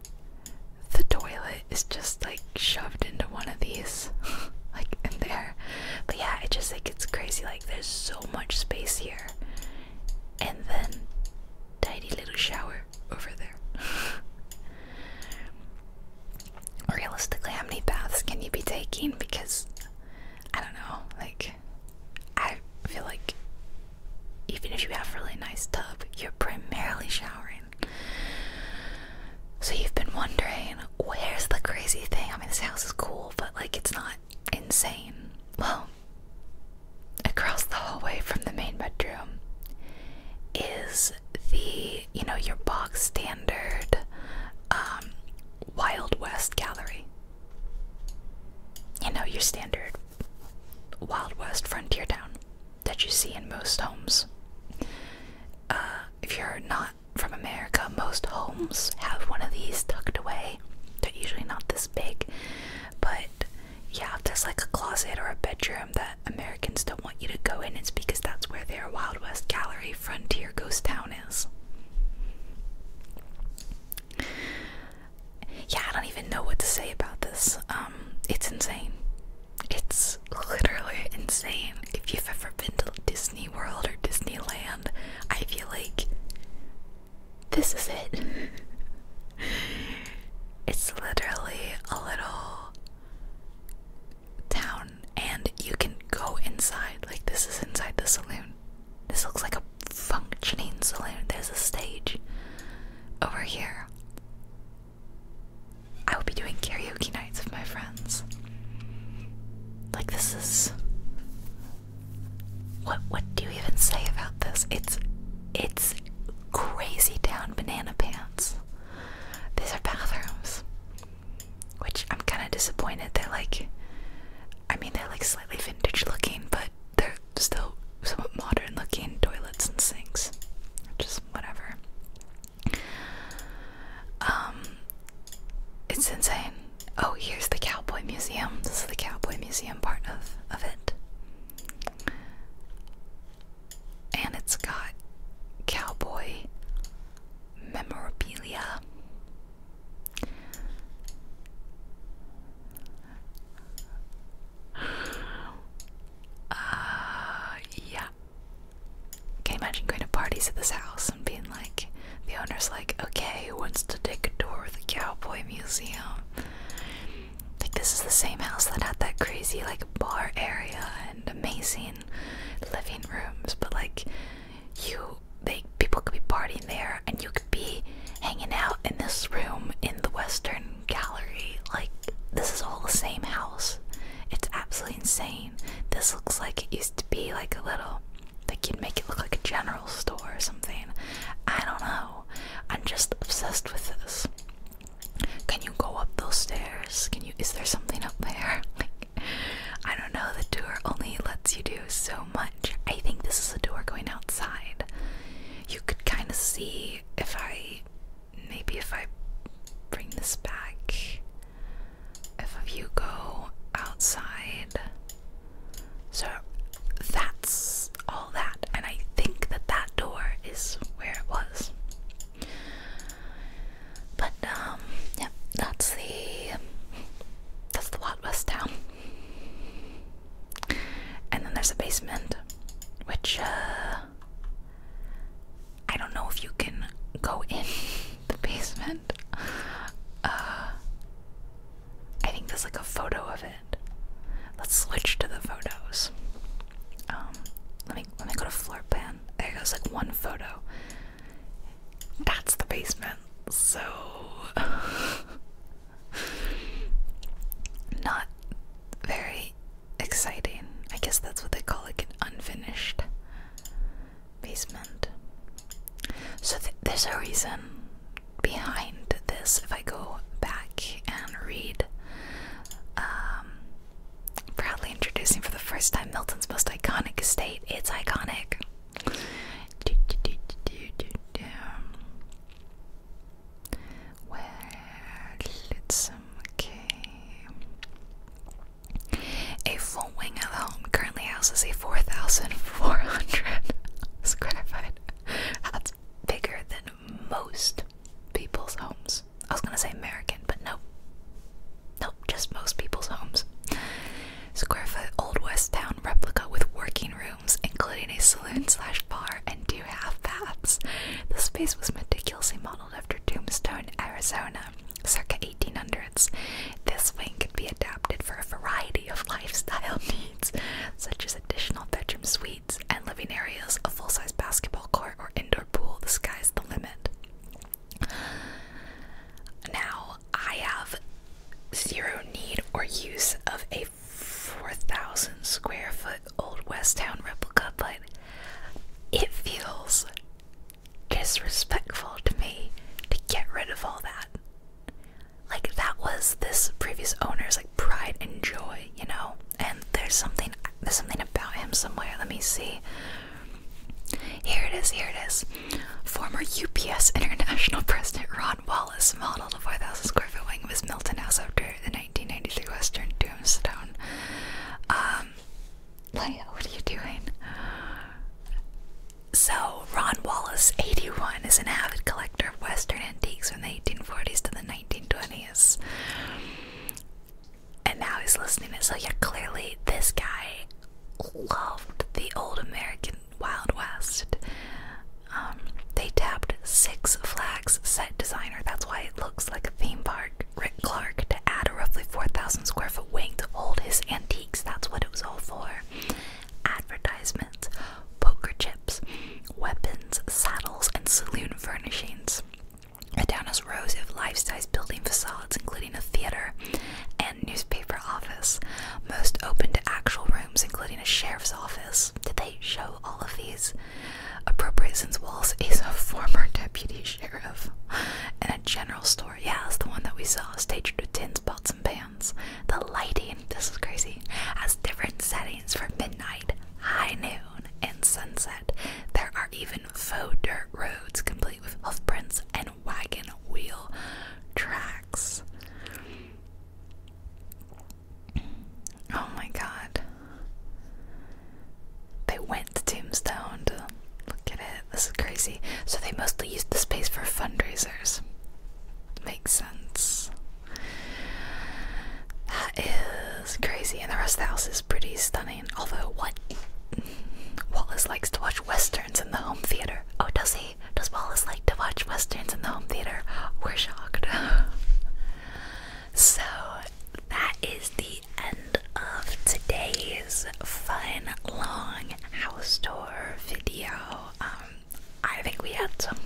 the toilet is just like shoved into one of these, like in there. But yeah, it just like it's crazy. Like there's so much space here, and then tiny little shower over there. Realistically, how many baths can you be taking? Because I don't know. Like I feel like even if you have really nice tub, you're primarily showering. So you've been wondering, where's the crazy thing? I mean, this house is cool, but like it's not insane. Well, across the hallway from the main bedroom is the, you know, your box standard um, Wild West gallery. You know, your standard Wild West frontier town that you see in most homes. Uh, if you're not from America, most homes have one of these tucked away. They're usually not this big, but yeah, if there's like a closet or a bedroom that Americans don't want you to go in, it's because that's where their Wild West Gallery Frontier Ghost Town is. Yeah, I don't even know what to say about this. Um, it's insane. It's literally insane. If you've ever been to Disney Disney World or Disneyland, I feel like this is it. it's literally a little town, and you can go inside. Like, this is inside the saloon. This looks like a functioning saloon. There's a stage over here. I will be doing karaoke nights with my friends. Like, this is what what do you even say about this? It's it's crazy down banana pants. These are bathrooms. Which I'm kinda disappointed. They're like I mean they're like slightly vintage looking, but they're still somewhat modern looking toilets and sinks. Just whatever. Um it's insane oh, here's the Cowboy Museum. This is the Cowboy Museum part of, of it. And it's got cowboy memorabilia. Uh, yeah. Can imagine going to parties at this house? being like, the owner's like, okay, who wants to take a tour of the Cowboy Museum? Like, this is the same house that had that crazy, like, bar area and amazing living rooms, but like, you, they, people could be partying there and you could be hanging out in this room in the Western Gallery. Like, this is all the same house. It's absolutely insane. This looks like it used to be like a little they could make it look like a general store or something. I don't know. I'm just obsessed with this. Can you go up those stairs? Can you? Is there something up there? Like, I don't know. The door only lets you do so much. I think this is the door going outside. You could kind of see if I, maybe if I bring this back, if you go outside. So that's all that, and I think that that door is where it was. But um, yeah, that's the that's the Wild West town, and then there's a basement, which uh, I don't know if you can go in the basement. Uh, I think there's like a photo of it. Let's switch to the photos. Um, let me let me go to floor plan. There goes like one photo. That's the basement. So not very exciting. I guess that's what they call like an unfinished basement. So there's a reason behind this if I go back and read. Um, proudly introducing for the first time Milton's most iconic estate. It's iconic. Do, do, A full wing of home currently houses a 4,400 square foot. That's bigger than most people's homes. I was gonna say American, but no. Nope, just most people's homes. Square foot Old West Town replica with working rooms, including a saloon slash bar and two half baths. The space was meticulously modeled after Tombstone, Arizona, circa 1800s. This wing can be adapted for a variety of lifestyle such as additional bedroom suites and living areas, a full size basketball court, or indoor pool, the sky's the limit. Now, I have zero need or use of a 4,000 square foot Old West Town replica, but it feels disrespectful to me to get rid of all that like that was this previous owner's like pride and joy, you know. And there's something there's something about him somewhere. Let me see. Here it is, here it is. Former UPS International President Ron Wallace modeled a 4,000 square foot wing of his Milton House after the 1993 Western Tombstone. Um, Leia, what are you doing? So, Ron Wallace, 81, is an avid collector of Western antiques from the 1840s to the 1920s. And now he's listening to So, yeah, clearly this guy loved the old American Wild West. Um, they tapped Six Flags set designer. That's why it looks like a theme park. Rick Clark to add a roughly 4,000 square foot wing to hold his antiques. That's what it was all for advertisements, poker chips, weapons, saddles, and saloon furnishings. The town rows of life-size building facades, including a theater and newspaper office, most open to actual rooms, including a sheriff's office. Did they show all of these? Appropriate since Wallace is a former deputy sheriff, and a general store. Yeah, it's the one that we saw, staged with tin pots and pans the lighting, this is crazy, has different settings for midnight, high noon, and sunset. There are even faux dirt roads complete with hoofprints and wagon wheel tracks. Oh my god. They went to Tombstone to look at it. This is crazy. So they mostly used the space for fundraisers makes sense. That is crazy, and the rest of the house is pretty stunning. Although, what Wallace likes to watch westerns in the home theater. Oh, does he? Does Wallace like to watch westerns in the home theater? We're shocked. so, that is the end of today's fun, long house tour video. Um, I think we had some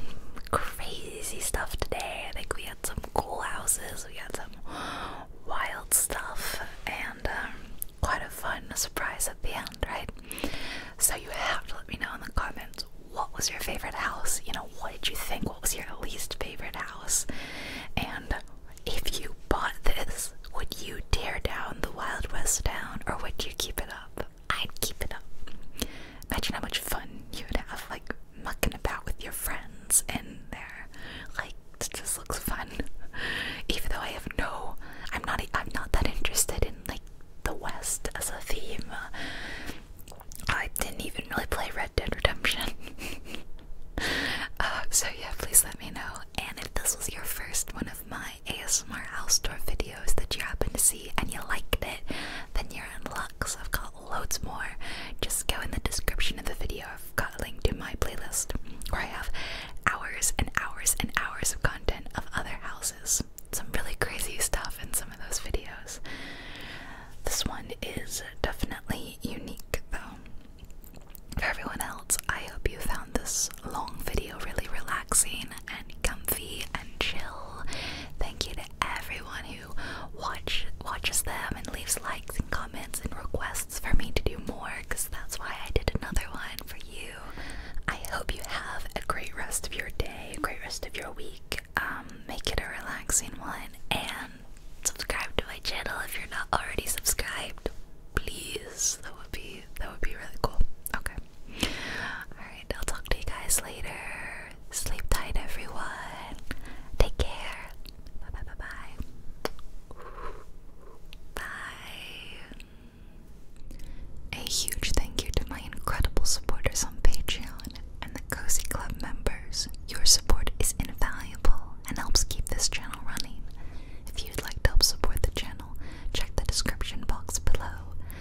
crazy stuff today. I think we had some cool houses, we had some wild stuff, and um, quite a fun surprise at the end, right? So, you have to let me know in the comments what was your favorite house? You know, what did you think? What was your least favorite house? And if you bought this, would you tear down the Wild West town or would you keep it up? I'd keep it up. Imagine how much fun you would have, like mucking about with your friends in there. Like it just looks fun. Even though I have no, I'm not, I'm not that interested in like the West as a theme. I didn't even really play Red Dead Redemption. Uh, so yeah, please let me know. And if this was your first one of mine. ASMR house tour videos that you happen to see and you liked it, then you're in luck. So I've got loads more. Just go in the description of the video. I've got a link to my playlist where I have hours and hours and hours of content of other houses. Some really crazy stuff in some of those videos. This one is definitely unique though. For everyone else, I hope you found this long video really relaxing and comfy and chill. Thank you to everyone who watch watches them and leaves likes and comments and requests for me to do more because that's why I did another one for you. I hope you have a great rest of your day, a great rest of your week. Um, make it a relaxing one and subscribe to my channel if you're not already subscribed. Please, that would be that would be really cool. Okay. Alright, I'll talk to you guys later. Sleep tight, everyone. Take care. Bye bye bye bye. Bye. A huge thank you to my incredible supporters on Patreon and the Cozy Club members. Your support is invaluable and helps keep this channel running. If you'd like to help support the channel, check the description box below.